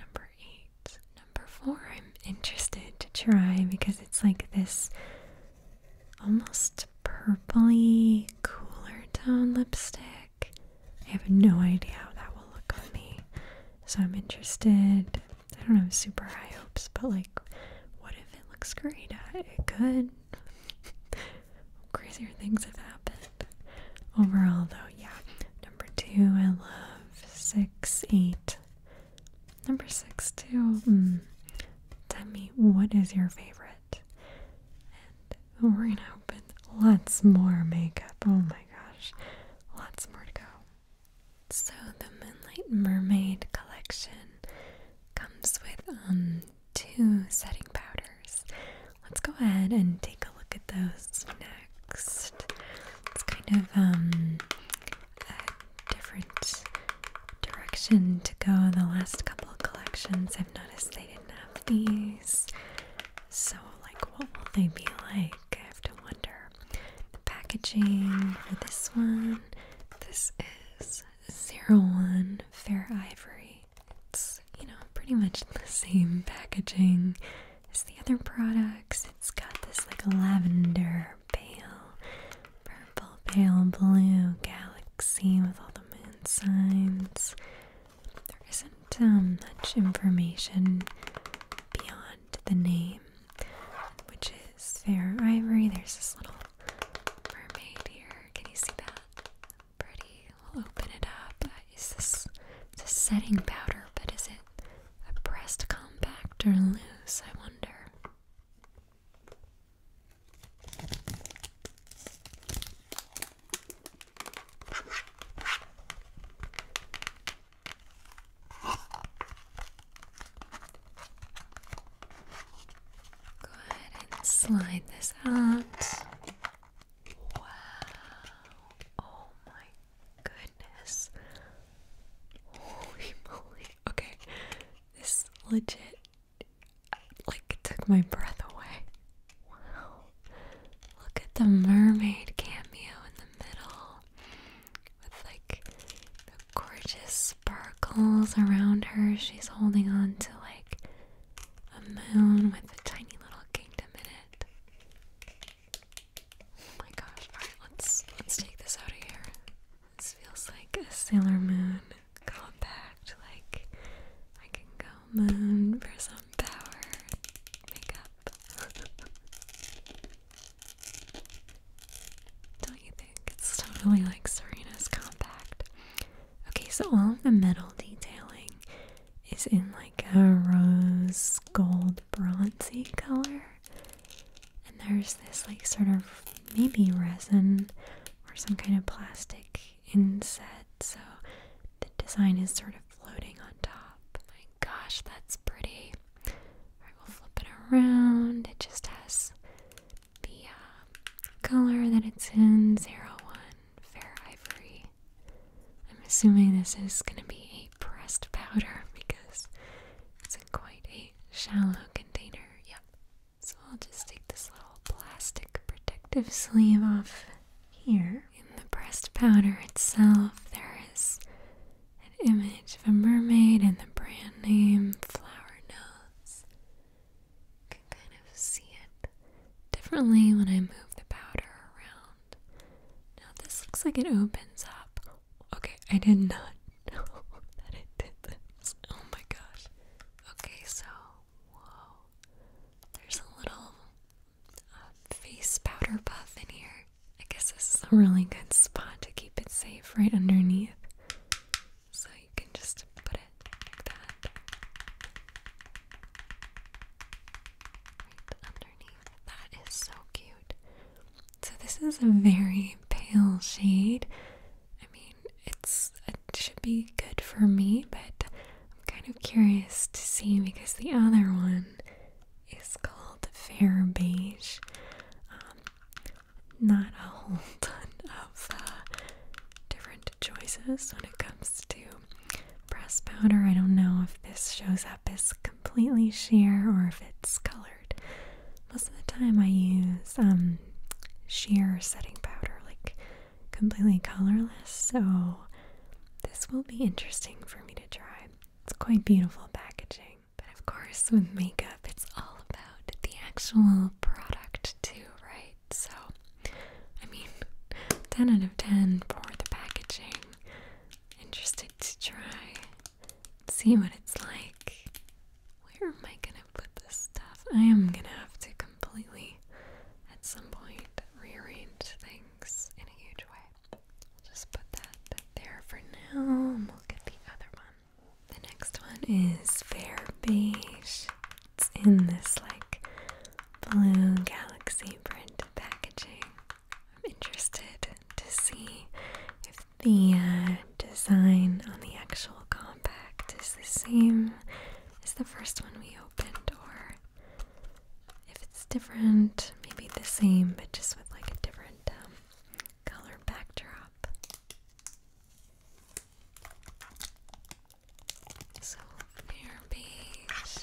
number eight Number four, I'm interested to try because it's like this almost purpley cooler tone lipstick. I have no idea how that will look on me. So I'm interested. I don't have super high hopes, but like, what if it looks great? Uh, it could. Crazier things have happened. Overall, though, yeah. Number two, I love six, eight. Number six, too. Hmm. Tell me what is your favorite? And we're gonna open lots more makeup. Oh my gosh, lots more to go. So the Midnight Mermaid collection comes with um two setting powders. Let's go ahead and take a look at those it's kind of um, a different direction to go. the last couple of collections, I've noticed they didn't have these. So, like, what will they be like? I have to wonder. The packaging for this one, this is zero one fair ivory. It's you know pretty much the same packaging as the other products. It's got this like lavender, pale, purple, pale blue galaxy with all the moon signs. There isn't um, much information beyond the name, which is fair ivory. There's this little mermaid here. Can you see that? Pretty. We'll open it up. Uh, is this it's a setting powder? But is it? A pressed compact or loose, I wonder. Go ahead and slide this out. Wow. Oh my goodness. Holy moly. Okay. This legit like took my breath away. Look at the mermaid cameo in the middle. With like the gorgeous sparkles around her. She's holding on to like a moon with a tiny little kingdom in it. Oh my gosh. let's let's take this out of here. This feels like a Sailor Moon compact. Like I can go moon for some power makeup. Don't you think? It's totally like Serena's compact. Okay, so all of the metal detailing is in like a rose gold bronzy color. And there's this like sort of maybe resin or some kind of plastic inset. So the design is sort of floating on top. My gosh, that's pretty. I will flip it around. It just has the uh, color that it's in, 01, fair ivory. I'm assuming this is going to be pressed powder because it's in quite a shallow container. Yep. So I'll just take this little plastic protective sleeve off here. In the pressed powder itself, there is an image of a mermaid and the brand name Flower Notes. You can kind of see it differently when I move the powder around. Now this looks like it opens up. Okay, I did not know that it did this. Oh my gosh. Okay, so whoa. There's a little uh, face powder puff in here. I guess this a really good spot to keep it safe right underneath. So you can just put it like that. Right underneath. That is so cute. So this is a very pale shade. I mean, it's it should be good for me, but I'm kind of curious to see because the other one is called Fair Beige. Um, not a whole ton of uh, different choices when it comes to press powder. I don't know if this shows up as completely sheer or if it's colored. Most of the time I use um, sheer setting powder, like completely colorless, so this will be interesting for me to try. It's quite beautiful packaging. But of course, with makeup, it's all about the actual product, too, right? So, I mean, 10 out of 10 for the packaging. Interested to try see what it's like. Where am I gonna put this stuff? I am gonna have to completely, at some point, rearrange things in a huge way. Just put that there for now, we'll get the other one. The next one is Fair Beige. It's in this like blue galaxy print packaging. I'm interested to see if the uh, design on the actual compact is the same as the first one we opened, or if it's different, maybe the same, but just with like a different um, color backdrop. So, mirror beige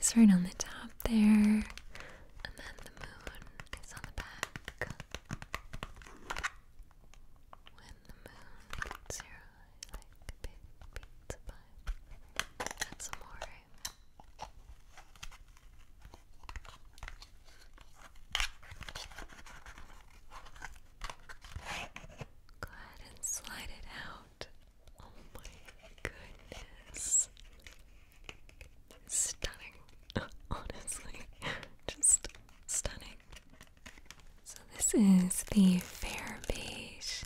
is right on the top there, and then when the moon hits your eye like a big pizza pie. That's amore. Go ahead and slide it out. Oh my goodness. Stunning. Honestly, just stunning. So, this is the Fair Beige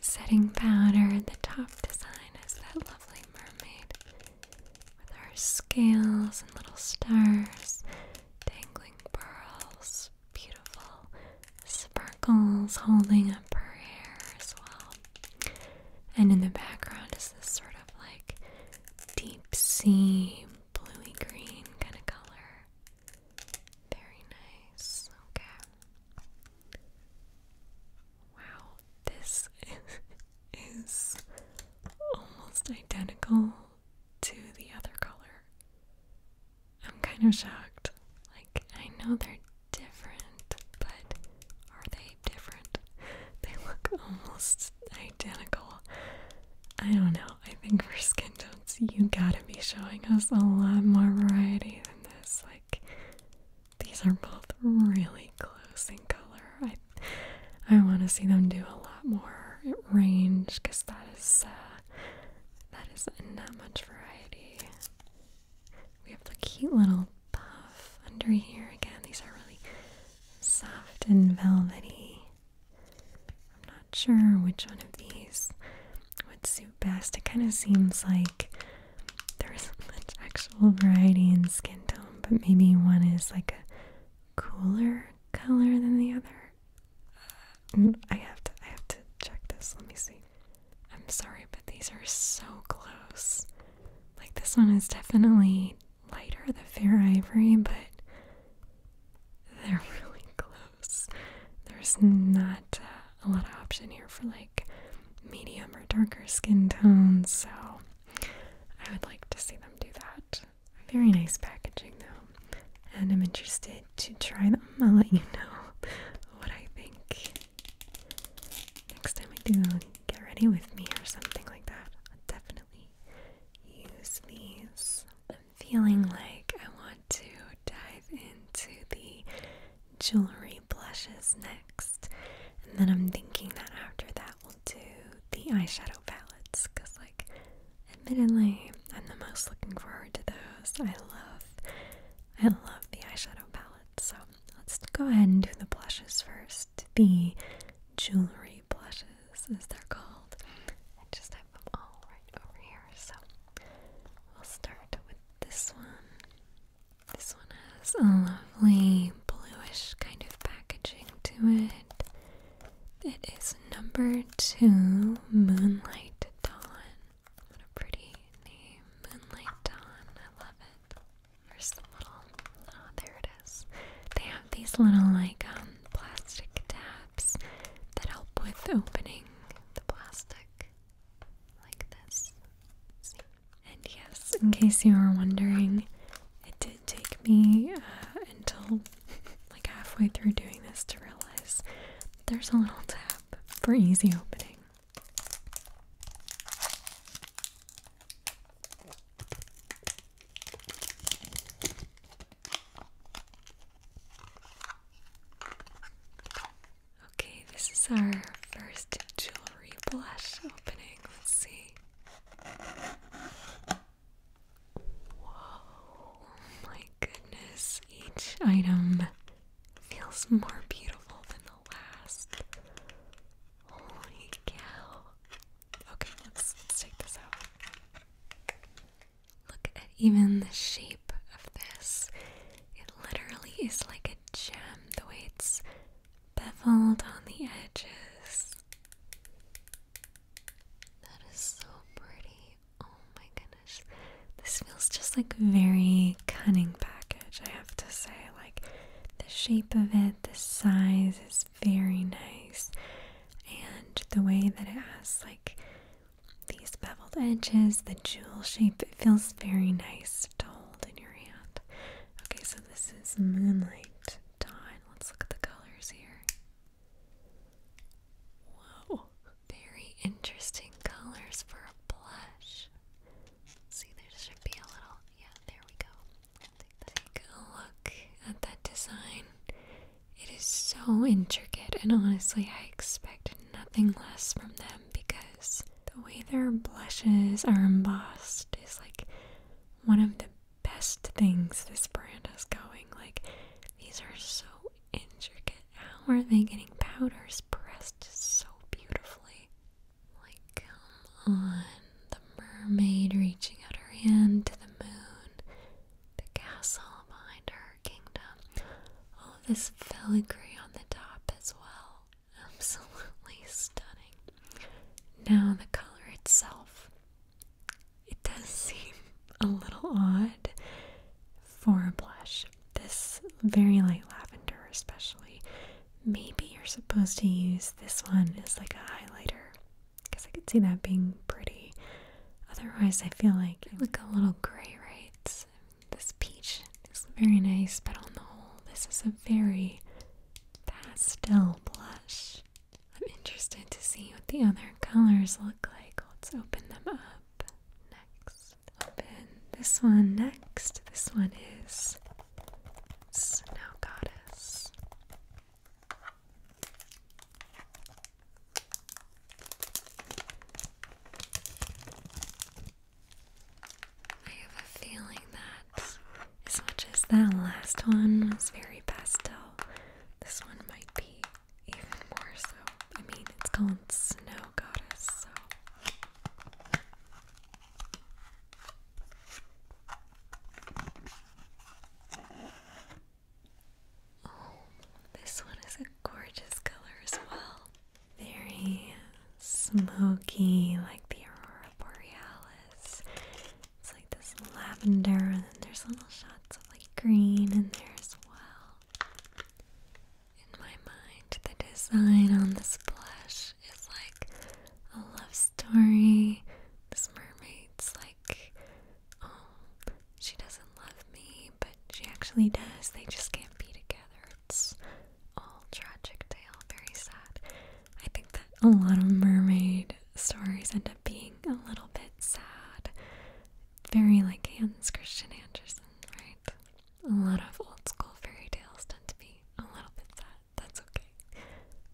setting powder. and The top design is that lovely mermaid with her scales and little stars, dangling pearls, beautiful sparkles holding up her hair as well. And in the background is this sort of like deep sea, bluey green kind of color. Very nice. Okay. Wow, this is almost identical to the other color. I'm kind of shocked. Like, I know they're different, but are they different? They look almost identical. I don't know. I think for skin tones, you gotta be showing us a lot more variety than this. Like, these are both really close in color. I, I want to see them do a lot more range because that is uh, that is not much variety. We have the cute little puff under here. Again, these are really soft and velvety. I'm not sure which one of these would suit best. It kind of seems like there isn't much actual variety in skin tone, but maybe one is like a cooler color than the other. Uh, I have to I have to check this. Let me see. I'm sorry, but these are so close. Like this one is definitely lighter, the fair ivory, but they're really close. There's not uh, a lot of option here for like medium or darker skin tones, so I would like to see them do that. Very nice packaging though, and I'm interested to try them. I'll let you know what I think. Next time we do, get ready with me or something like that. I'll definitely use these. I'm feeling like I want to dive into the jewelry blushes next. And then I'm thinking that after that we'll do the eyeshadow palettes because like admittedly I'm the most looking forward to those. I love I love the eyeshadow palettes. So let's go ahead and do the blushes first the jewelry blushes, as they're called. I just have them all right over here. So we'll start with this one. This one has a lovely bluish kind of packaging to it. It is number two, Moonlight Dawn. What a pretty name, Moonlight Dawn. I love it. There's a little, oh, there it is. They have these little, like, um, plastic tabs that help with opening the plastic, like this. And yes, in case you were wondering, it did take me uh, until like halfway through doing this to realize there's a little tab for easy opening. Okay, this is our first jewelry blush opening. Let's see. Whoa, my goodness. Each item feels more beautiful than the last. Holy cow. Okay, let's, take this out. Look at even the shape of this. It literally is like a gem, the way it's beveled on the edges. That is so pretty. Oh my goodness. This feels just like a very cunning package, I have to say. Like the shape of it the size is very nice and the way that it has like these beveled edges, the jewel shape, it feels very nice to hold in your hand. Okay, so this is Moonlight Dawn. Let's look at the colors here. Wow, very interesting colors for a blush. See, there should be a little, yeah, there we go. Take a look at that design. It is so intricate, and honestly, I expect nothing less from them because the way their blushes are embossed is like one of the best things this brand is going. Like, these are so intricate. How are they getting powders pressed so beautifully? Like, on. The mermaid reaching out her hand to the moon, the castle behind her kingdom. All this filigree on the top as well. Absolutely stunning. Now, the color itself. It does seem a little odd for a blush. This very light lavender, especially, Maybe you're supposed to use this one as like a highlighter because I could see that being pretty. Otherwise, I feel like it look a little gray, right? This peach is very nice, but on the whole, this is a very pastel blush. I'm interested to see what the other colors look like. Let's open them up next. Open this one next. This one is Snow Goddess. I have a feeling that as much as that last one was very pastel, this one might be even more so. I mean, it's called Snow Goddess, so. Oh, this one is a gorgeous color as well. Very smoky, like the Aurora Borealis. It's like this lavender, and then there's little shots of like green in there as well. In my mind, the design on this blush it's like a love story. This mermaid's like, oh, she doesn't love me, but she actually does. They just can't be together. It's all tragic tale, very sad. I think that a lot of mermaid stories end up being a little bit sad. Very like Hans Christian Andersen, right? A lot of old school fairy tales tend to be a little bit sad that's okay.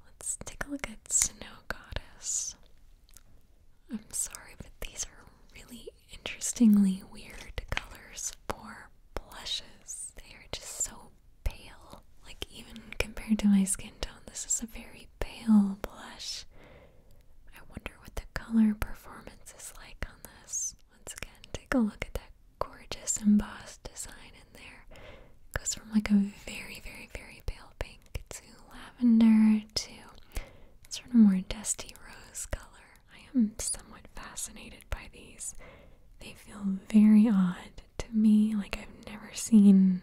Let's take a look at Snow Goddess. I'm sorry, but these are really interestingly weird colors for blushes. They are just so pale. Like, even compared to my skin tone, this is a very pale blush. I wonder what the color performance is like on this. Once again, take a look at that gorgeous embossed design there. goes from like a very, very, very pale pink to lavender to sort of more dusty rose color. I am somewhat fascinated by these. They feel very odd to me, like I've never seen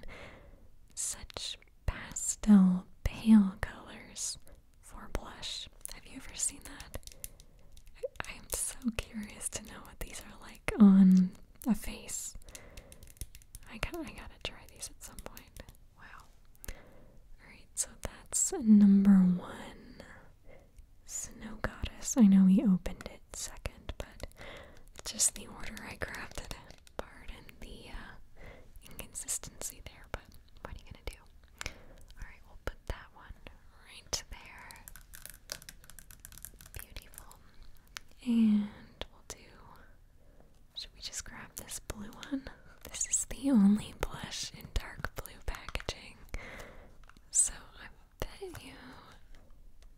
such pastel pale colors for blush. Have you ever seen that? I, am so curious to know what these are like on a face. I gotta, I gotta try these at some point. Wow. Alright, so that's number one. Snow Goddess. I know we opened it second, but it's just the order I grabbed it Pardon the uh, inconsistency there, but what are you gonna do? Alright, we'll put that one right there. Beautiful. And we'll do. Should we just grab this blue one? This is the only blush in dark blue packaging. So I bet you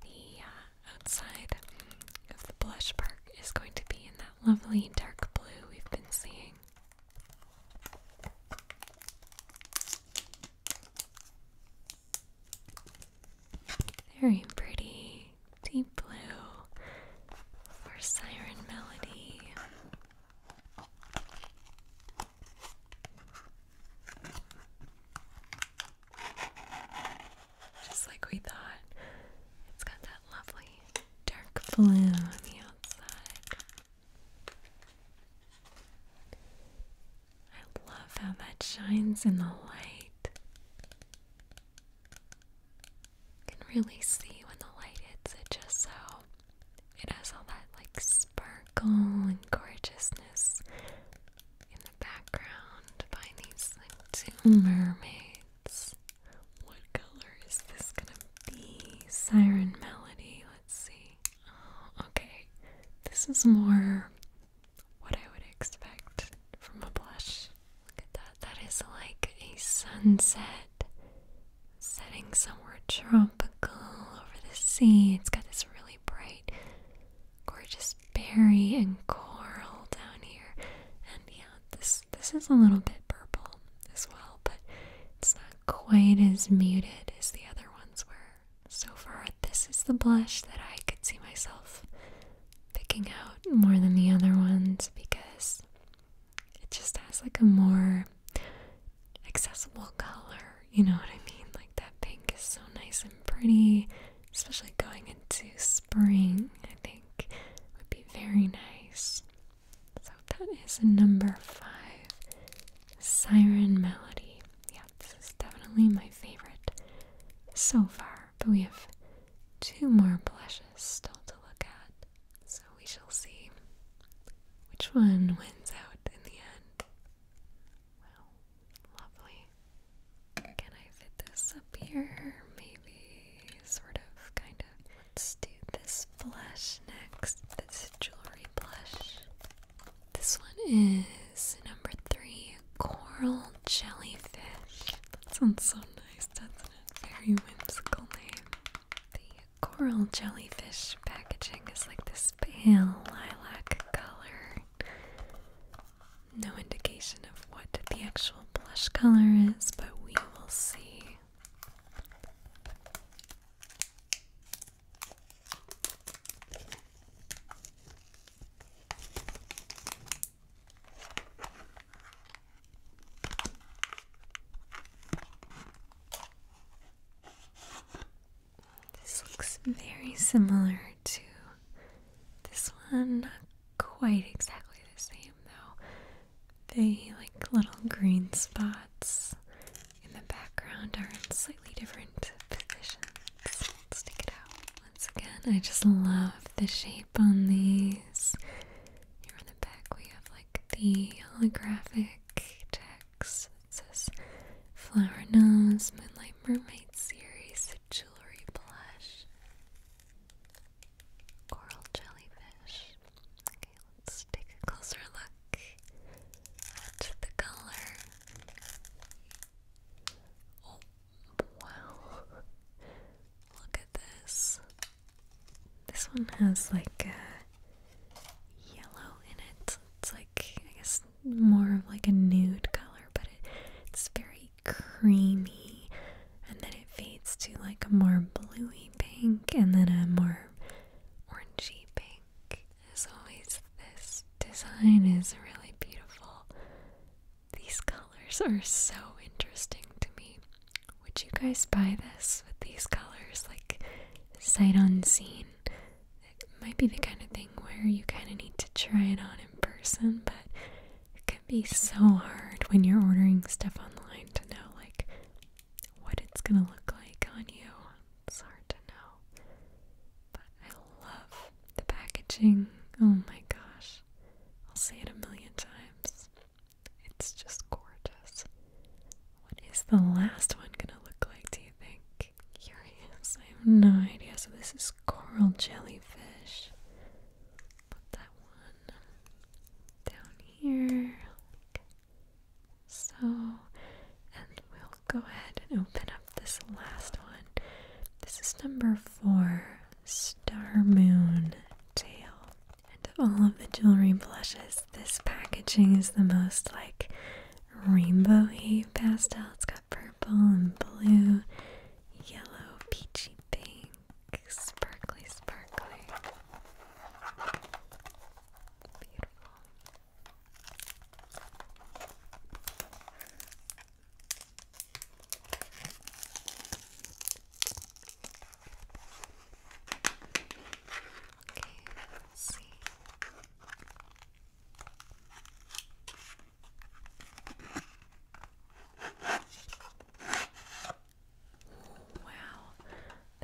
the uh, outside of the blush park is going to be in that lovely dark blue we've been seeing. Very pretty, deep blue for siren melody. Just like we thought, it's got that lovely dark blue on the outside. I love how that shines in the light. You can really see when the light hits it just so it has all that like sparkle and gorgeousness in the background by these like two mermaids. What color is this gonna be? Siren Melody, let's see. Oh, okay. This is more what I would expect from a blush. Look at that. That is like a sunset setting somewhere tropical over the sea. It's got this really bright, gorgeous berry and coral down here. And yeah, this this is a little bit purple as well, but it's not quite as muted as the other ones were so far this is the blush that I could see myself picking out more than the other ones because it just has like a more accessible color, you know what I mean? Like that pink is so nice and pretty, especially going into spring, I think would be very nice. So that is number five. Siren Melody. Yeah, this is definitely my favorite so far but we have two more blushes still to look at, so we shall see which one wins out in the end. Wow, lovely. Can I fit this up here? Maybe, sort of, kind of. Let's do this blush next. This jewelry blush. This one number three, coral jellyfish. That sounds so nice, That's a Very whimsical name. The coral jellyfish packaging is like this pale lilac color. No indication of what the actual blush color is, but we will see. This looks very similar to this one, not quite exactly the same though. The like little green spots in the background are in slightly different positions let's, take it out. Once again, I just love the shape on these. Here on the back, we have like the holographic text. It says Flower Nose, Moonlight Mermaid Series, Jewelry Blush, Coral Jellyfish. Okay, let's take a closer look at the color. Oh, Wow. Look at this. This one has like a yellow in it. It's like, I guess, more of like a nude color, but it's very creamy. And then it fades to like a more bluey pink and then a more orangey pink. As always, this design is really beautiful. These colors are so interesting to me. Would you guys buy this with these colors, like sight unseen? It might be the kind of thing where you kind of need to try it on in person, but it can be so hard when you're ordering stuff online to know, like, what it's gonna look like on you. It's hard to know. But I love the packaging, oh my gosh. I'll say it a million times. It's just gorgeous. What is the last one gonna look like, do you think? Curious. I have no idea. So this is coral jellyfish. Put that one down here. so, and we'll go ahead and open up this last one. This is number four. Star Moon Tail. And all of the jewelry blushes, this packaging is the most like rainbowy pastel. It's got purple and blue, yellow, peachy pink, sparkly, sparkly. Beautiful. Wow,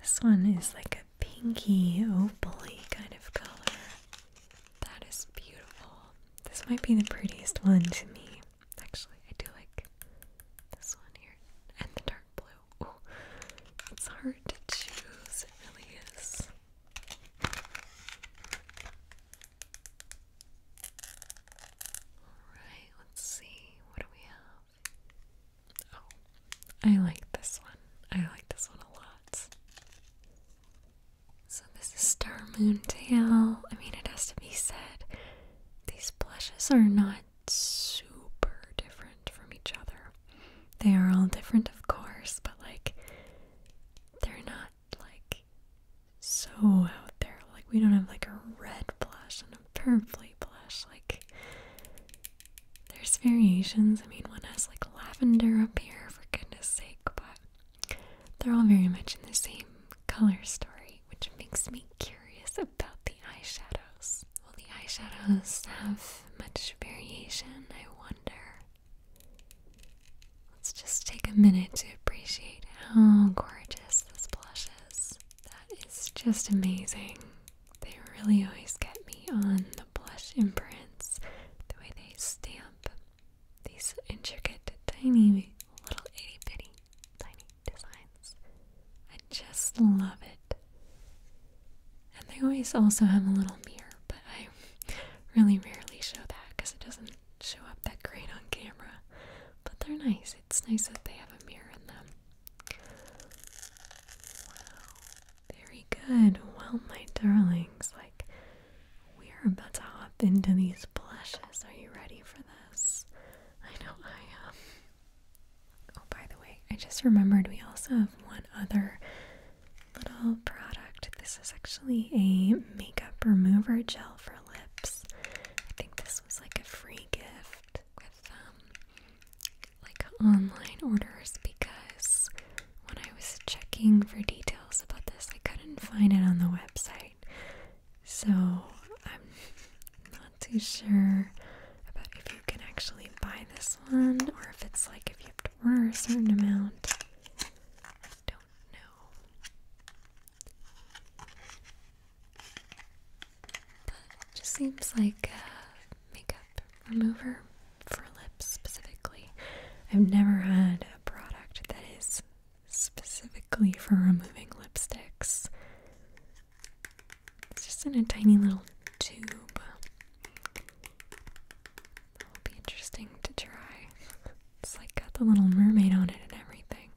this one is like a pinky opal-y kind of color. That is beautiful. This might be the prettiest one to me. Actually, I do like this one here and the dark blue. it's hard to choose, it really is. Alright, let's see. What do we have? Oh, I like this one. I like this one a lot. So this is Star Moon Tail. I mean, it has to be said, these blushes are not super different from each other. They are all different, of course, but like, they're not like so out there. Like, we don't have like a red blush and a purpley blush. Like, there's variations. I mean, one has like lavender up here, for goodness sake, but they're all very much in the same color story, which makes me curious about the eyeshadows. Will the eyeshadows have much variation? I wonder. Let's just take a minute to appreciate how gorgeous this blush is. That is just amazing. They really always get me on the blush imprints, the way they stamp these intricate, tiny, little itty bitty, tiny designs. I just love it. And they always also have a little mirror, but I really rarely show that because it doesn't show up that great on camera. But they're nice. It's nice that they have a mirror in them. Wow. Very good. Well, my darlings, like we are about to hop into these blushes. Are you ready for this? I know I am. Oh, by the way, I just remembered we also have one other little product. This is actually a makeup remover gel for lips. I think this was like a free gift with um like online orders because when I was checking for details about this, I couldn't find it on the website. So I'm not too sure about if you can actually buy this one or if it's like if you have to order a certain amount. I don't know. But it just seems like a makeup remover for lips specifically. I've never had a product that is specifically for removing lipsticks. It's just in a tiny little tube. will be interesting to try. It's like got the little mermaid on it and everything.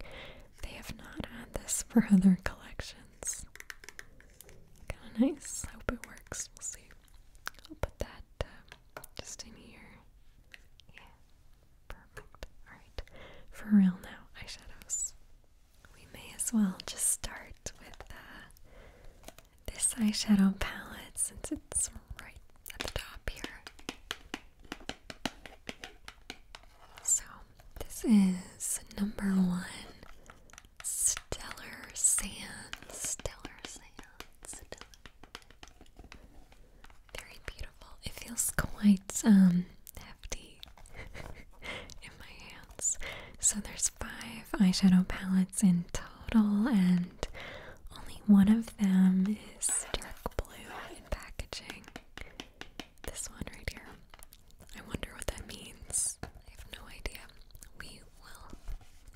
They have not had this for other collections. Kinda nice. I hope it works. We'll see. I'll put that uh, just in here. Yeah. Perfect. Alright, for real now, eyeshadows. We may as well just start with uh, this eyeshadow palette since it's right at the top here. So, this is number one Stellar Sand. Stellar Sand very beautiful. It feels quite um hefty in my hands. So there's five eyeshadow palettes in total and only one of them is dark blue in packaging. This one right here. I wonder what that means. I have no idea. We will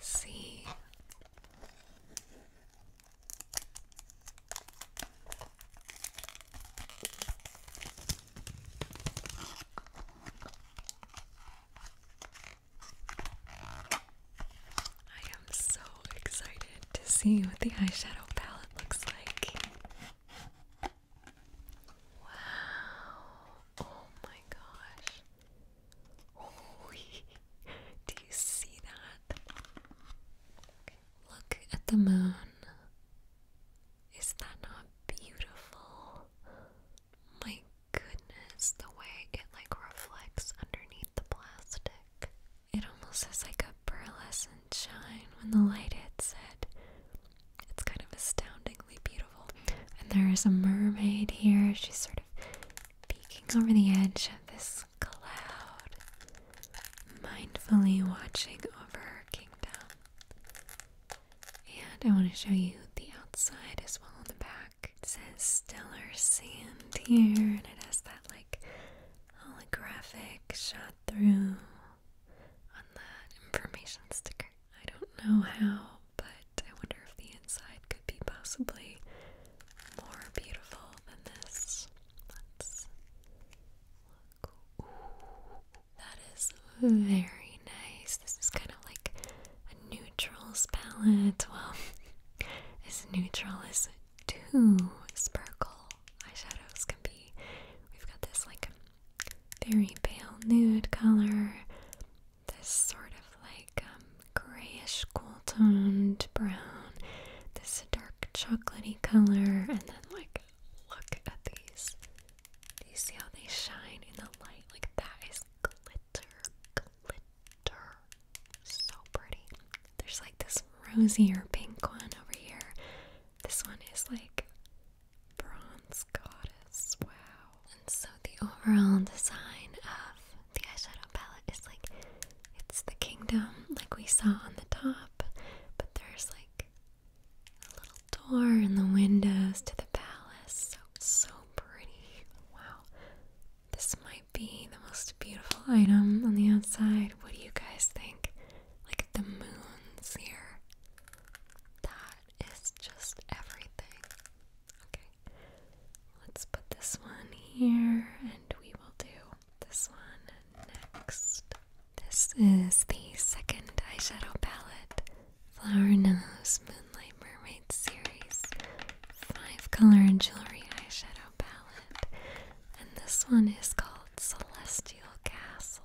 see. I am so excited to see what the eyeshadow palette looks like. Wow. Oh my gosh. Oh, do you see that? Look at the moon. Is that not beautiful? My goodness, the way it like reflects underneath the plastic. It almost has like a pearlescent shine when the light hits it. It's kind of astoundingly beautiful. And there is a mermaid here. She's sort of peeking over the edge of this cloud, mindfully watching over her kingdom. And I want to show you the outside as well on the back. It says Stellar Sand here, and it has that like holographic shot through on the information sticker. I don't know how, but I wonder if the inside could be possibly more beautiful than this. Let's that is very nice. This is kind of like a neutrals palette. Well, as neutral as two sparkle eyeshadows can be. We've got this like very pale nude color, this sort of like um, grayish cool toned brown, this dark chocolatey color, and like look at these. Do you see how they shine in the light? Like that is glitter, glitter. So pretty. There's like this rosier pink one over here. This one is like bronze goddess. Wow. And so the overall design of the eyeshadow palette is like it's the kingdom, like we saw on the top, but there's like a little door in the windows to the palace. So it's so pretty. Wow. This might be the most beautiful item on the outside. What do you guys think? Like the moons here. That is just everything. Okay. Let's put this one here and we will do this one next. This is the second eyeshadow palette, Flower Nose Moonlight Mermaid Series, five color and jewelry eyeshadow palette, and this one is called Celestial Castle.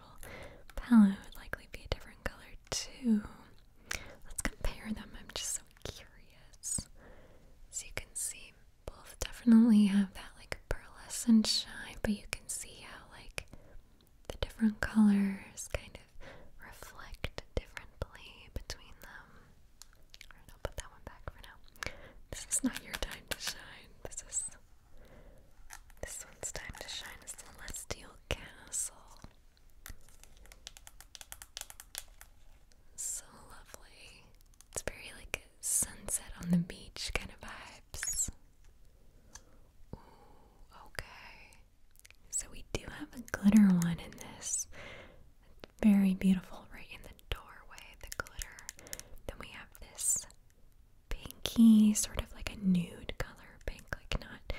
actual palette would likely be a different color too. Let's compare them. I'm just so curious. So you can see both definitely have that like pearlescent shine, but you can see how like the different colors kind of reflect differently between them. Alright, I'll put that one back for now. This is not your time to shine. This is this one's time to shine a celestial castle. So lovely. It's very like sunset on the beach kind of vibes. okay. So we do have a glitter one in this. very beautiful right in the doorway, the glitter. Then we have this pinky, sort of like a nude color pink, like not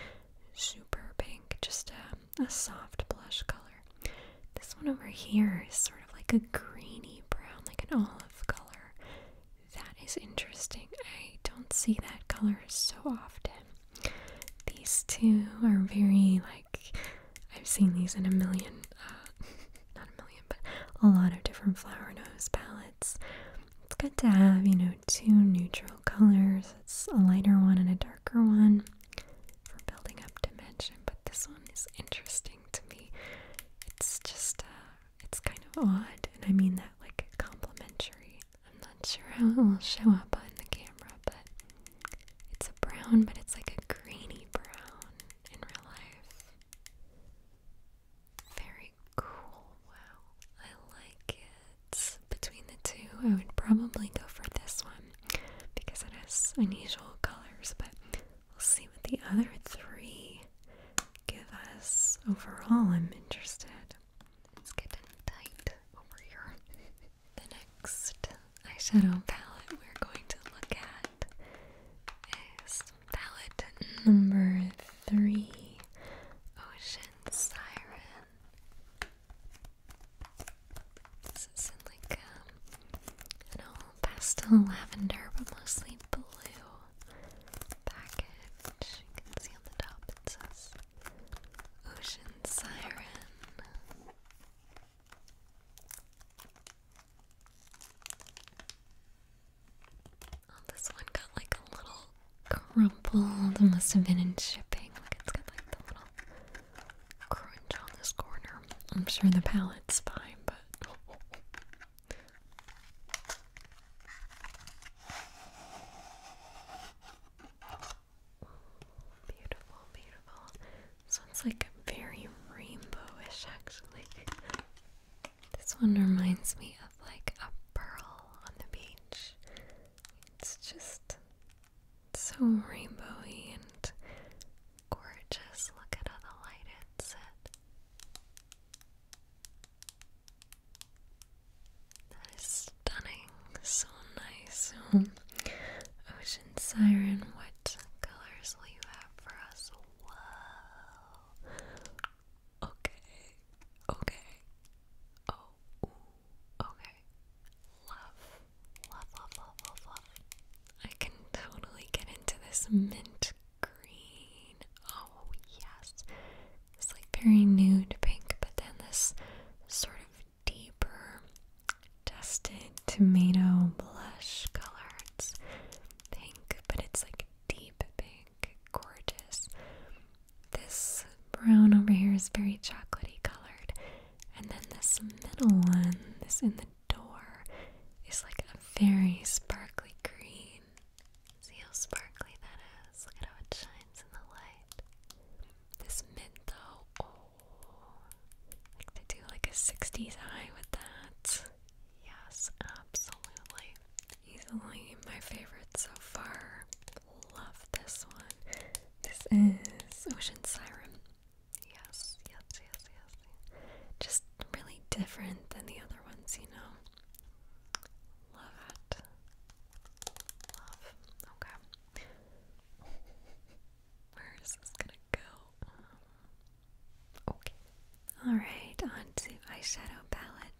super pink, just a, a soft blush color. This one over here is sort of like a greeny brown, like an olive color. That is interesting. I don't see that color so often. These two are very like I've seen these in a million, uh, not a million, but a lot of different flower nose palettes it's it's good to have, you know, two neutral colors. It's a lighter one and a darker one for building up dimension, but this one is interesting to me. It's just uh, it's kind of odd, and I mean that like complimentary. I'm not sure how it will show up on the camera, but it's a brown, but it's like a grainy brown in real life. Very cool. Wow. I like it. Between the two, I would probably go for this one because it has unusual colors, but we'll see what the other three give us. Overall, I'm interested. It's getting tight over here. the next eyeshadow palette we're going to look at is Palette number three Ocean Siren. This is like um, an old pastel lavender, but mostly blue package. You can see on the top it says Ocean Siren. Oh, this one got like a little crumpled. It must have been in shipping. Like it's got like the little crunch on this corner. I'm sure the palette's fine, but. Beautiful, beautiful. This one's like very rainbowish, actually. This one reminds me of like a pearl on the beach. It's just so rainbowy and gorgeous. Look at how the light hits it. That is stunning. So nice. Um, ocean Siren, what colors will you have for us? Whoa. Okay. Okay. Oh. okay. Love. Love, love, love, love, I can totally get into this mint green. Oh, yes. It's like very nude pink, but then this sort of deeper dusted tomato blush color. It's pink, but it's like deep pink gorgeous. This brown over here is very chocolatey colored. And then this middle one, this in the door, is like a very sparkly green. See how sparkly that is? Look at how it shines in the light. This mint though, oh, like to do like a 60s eye with that. Yes, absolutely easily my favorite so far. Love this one. This is Ocean Siren. Yes, yes, yes, yes. Just really different than the other ones, you know. Love it. Love. Okay. Where is this gonna go? okay. Alright, on to eyeshadow palette.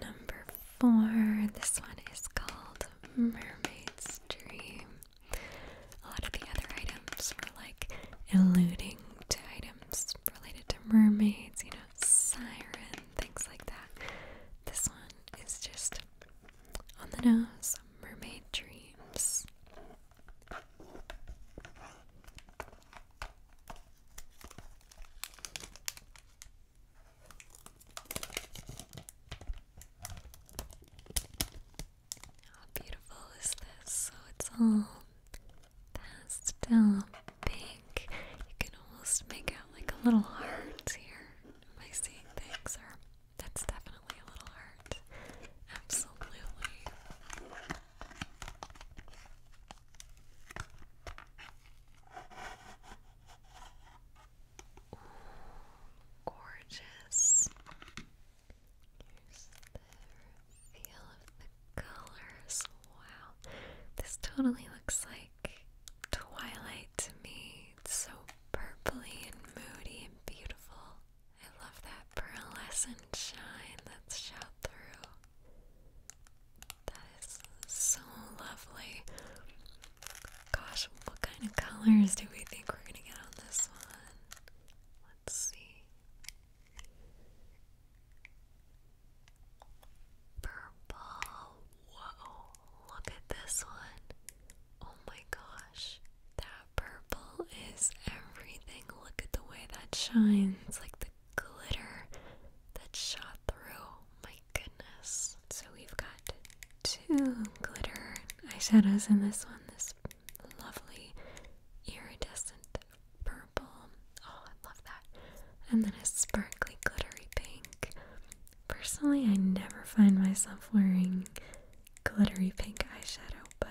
Number four. This one is called Mermaid's Dream. A lot of the other items were like alluding to items related to mermaids, you know, sirens, things like that. This one is just on the nose mermaid dreams. How beautiful is this? So it's all pastel pink. You can almost make out like a little heart here. Am I seeing things? Or that's definitely a little heart. Absolutely gorgeous. Here's the reveal of the colors. Wow. This totally looks like twilight to me. It's so purpley and moody and beautiful. I love that pearlescent shine that's shot through. That is so lovely. Gosh, what kind of colors do we think we're gonna get on this one? Let's see. Purple. Whoa, look at this one. Oh my gosh. That purple is everything. Look at the way that shines. Like the glitter that shot through. My goodness. So we've got two glitter eyeshadows in this one. This lovely iridescent purple. Oh, I love that. And then a sparkly glittery pink. Personally, I never find myself wearing glittery pink eyeshadow, but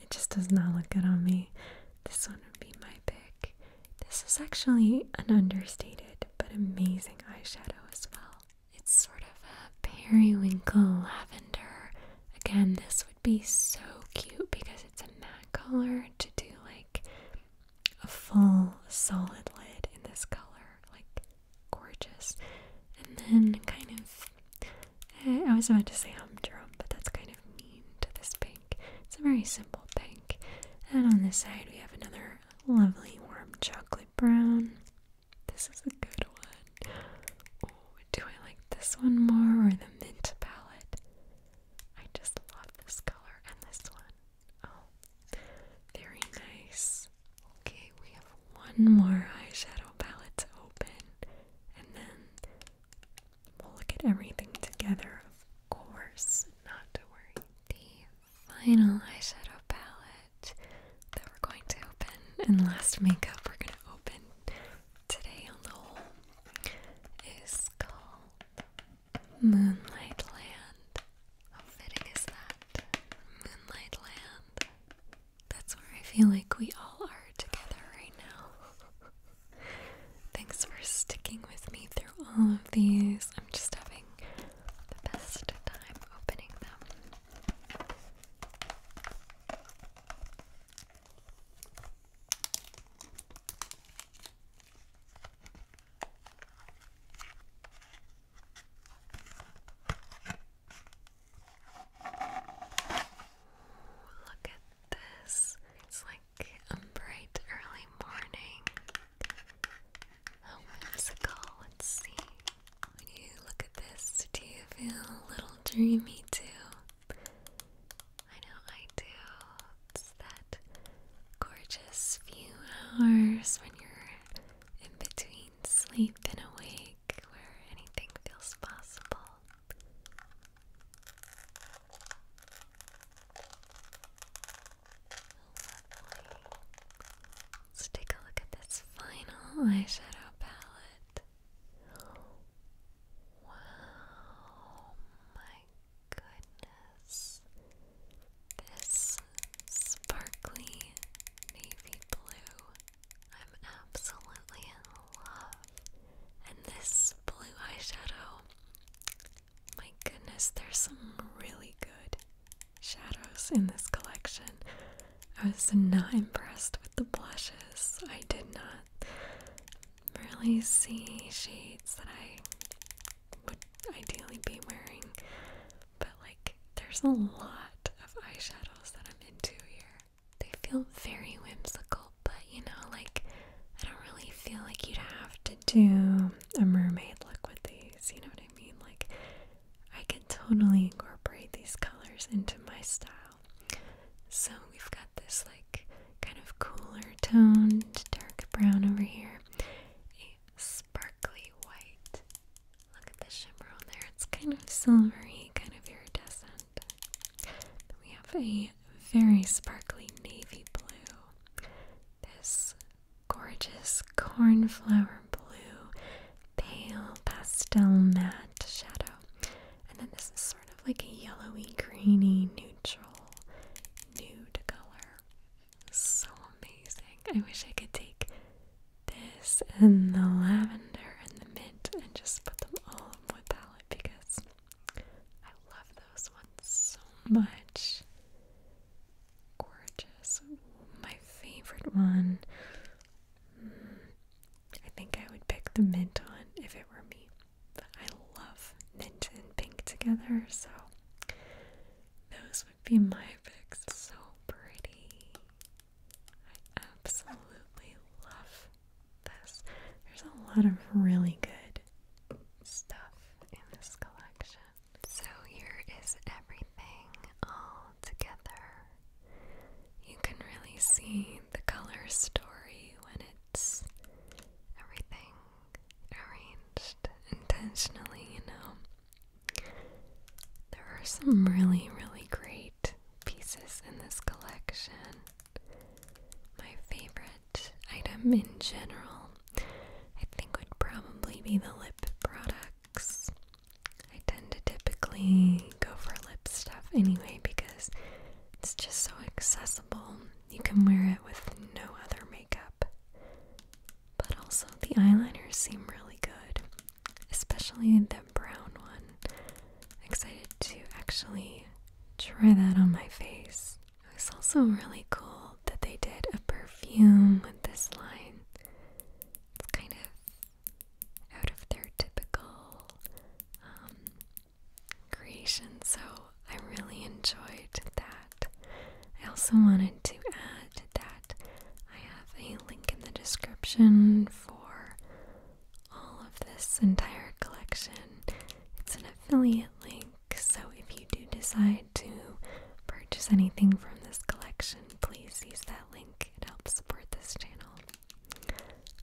it just does not look good on me. This one would be my pick. This is actually an understated but amazing eyeshadow as well. It's sort of a periwinkle lavender. Again, this would be so cute because it's a matte color to do like a full solid lid in this color. Like, gorgeous. And then, kind of, eh, I was about to say I'm humdrum, but that's kind of mean to this page. It's a very simple pink, And on this side, we have another lovely warm chocolate brown. This is a good one. do I like this one more or the mint palette? I just love this color and this one. Oh, very nice. Okay, we have one more eyeshadow palette to open, and then we'll look at everything together, of course. Not to worry the final eyeshadow palette that we're going to open and last makeup we're going to open today on the whole is called Moonlight Land. How fitting is that? Moonlight Land. That's where I feel like we all are together right now. Thanks for sticking with me through all of these. I'm just having the best time opening them. Look at this. It's like a bright early morning. How oh, whimsical. Let's see. When you look at this, do you feel a little dreamy too? I know I do. It's that gorgeous few hours when you're in between sleep and awake where anything feels possible. Let's take a look at this final eyeshadow palette. Wow, my goodness. This sparkly navy blue. I'm absolutely in love. And this blue eyeshadow my goodness, there's some really good shadows in this collection. I was not impressed with the blushes. I did not really see shades that I would ideally be wearing, but like there's a lot of eyeshadows that I'm into here. They feel very whimsical, but you know, like I don't really feel like you'd have to to do a mermaid look with these, you know what I mean? Like, I can totally incorporate these colors into my style. So, we've got this like kind of cooler toned dark brown over here, a sparkly white. Look at the shimmer on there, it's kind of silvery, kind of iridescent. we have a very sparkly navy blue this gorgeous cornflower blue, pale pastel matte shadow. And then this is sort of like a yellowy, greeny, neutral nude color. So amazing. I wish I could take this and the lavender and the mint and just put them all in my palette because I love those ones so much gorgeous. My favorite one. Hmm, I think I would pick the mint one if it were me. But I love mint and pink together, so those would be my picks. So pretty. I absolutely love this. There's a lot of really good stuff in this collection. So here is everything all together. You can really see the color story when it's everything arranged intentionally, you know. There are some really, really great pieces in this collection. My favorite item in general I think would probably be the lip products. I tend to typically go for lip stuff anyway because it's just so accessible. You can wear it with no other makeup. But also, the eyeliners seem really good, especially the brown one. excited to actually try that on my face. It was also really cool that they did a perfume with this line. It's kind of out of their typical um, creation, so I really enjoyed that. I also wanted to add that I have a link in the description for all of this entire collection. It's an affiliate link, so if you do decide to purchase anything from this collection, please use that link. It helps support this channel.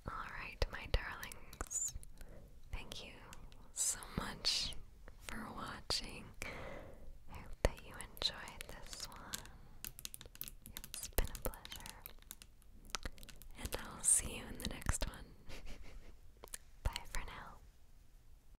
Alright, my darlings, thank you so much for watching. I hope that you enjoyed this one. It's been a pleasure. And I'll see you in the next one. Bye for now.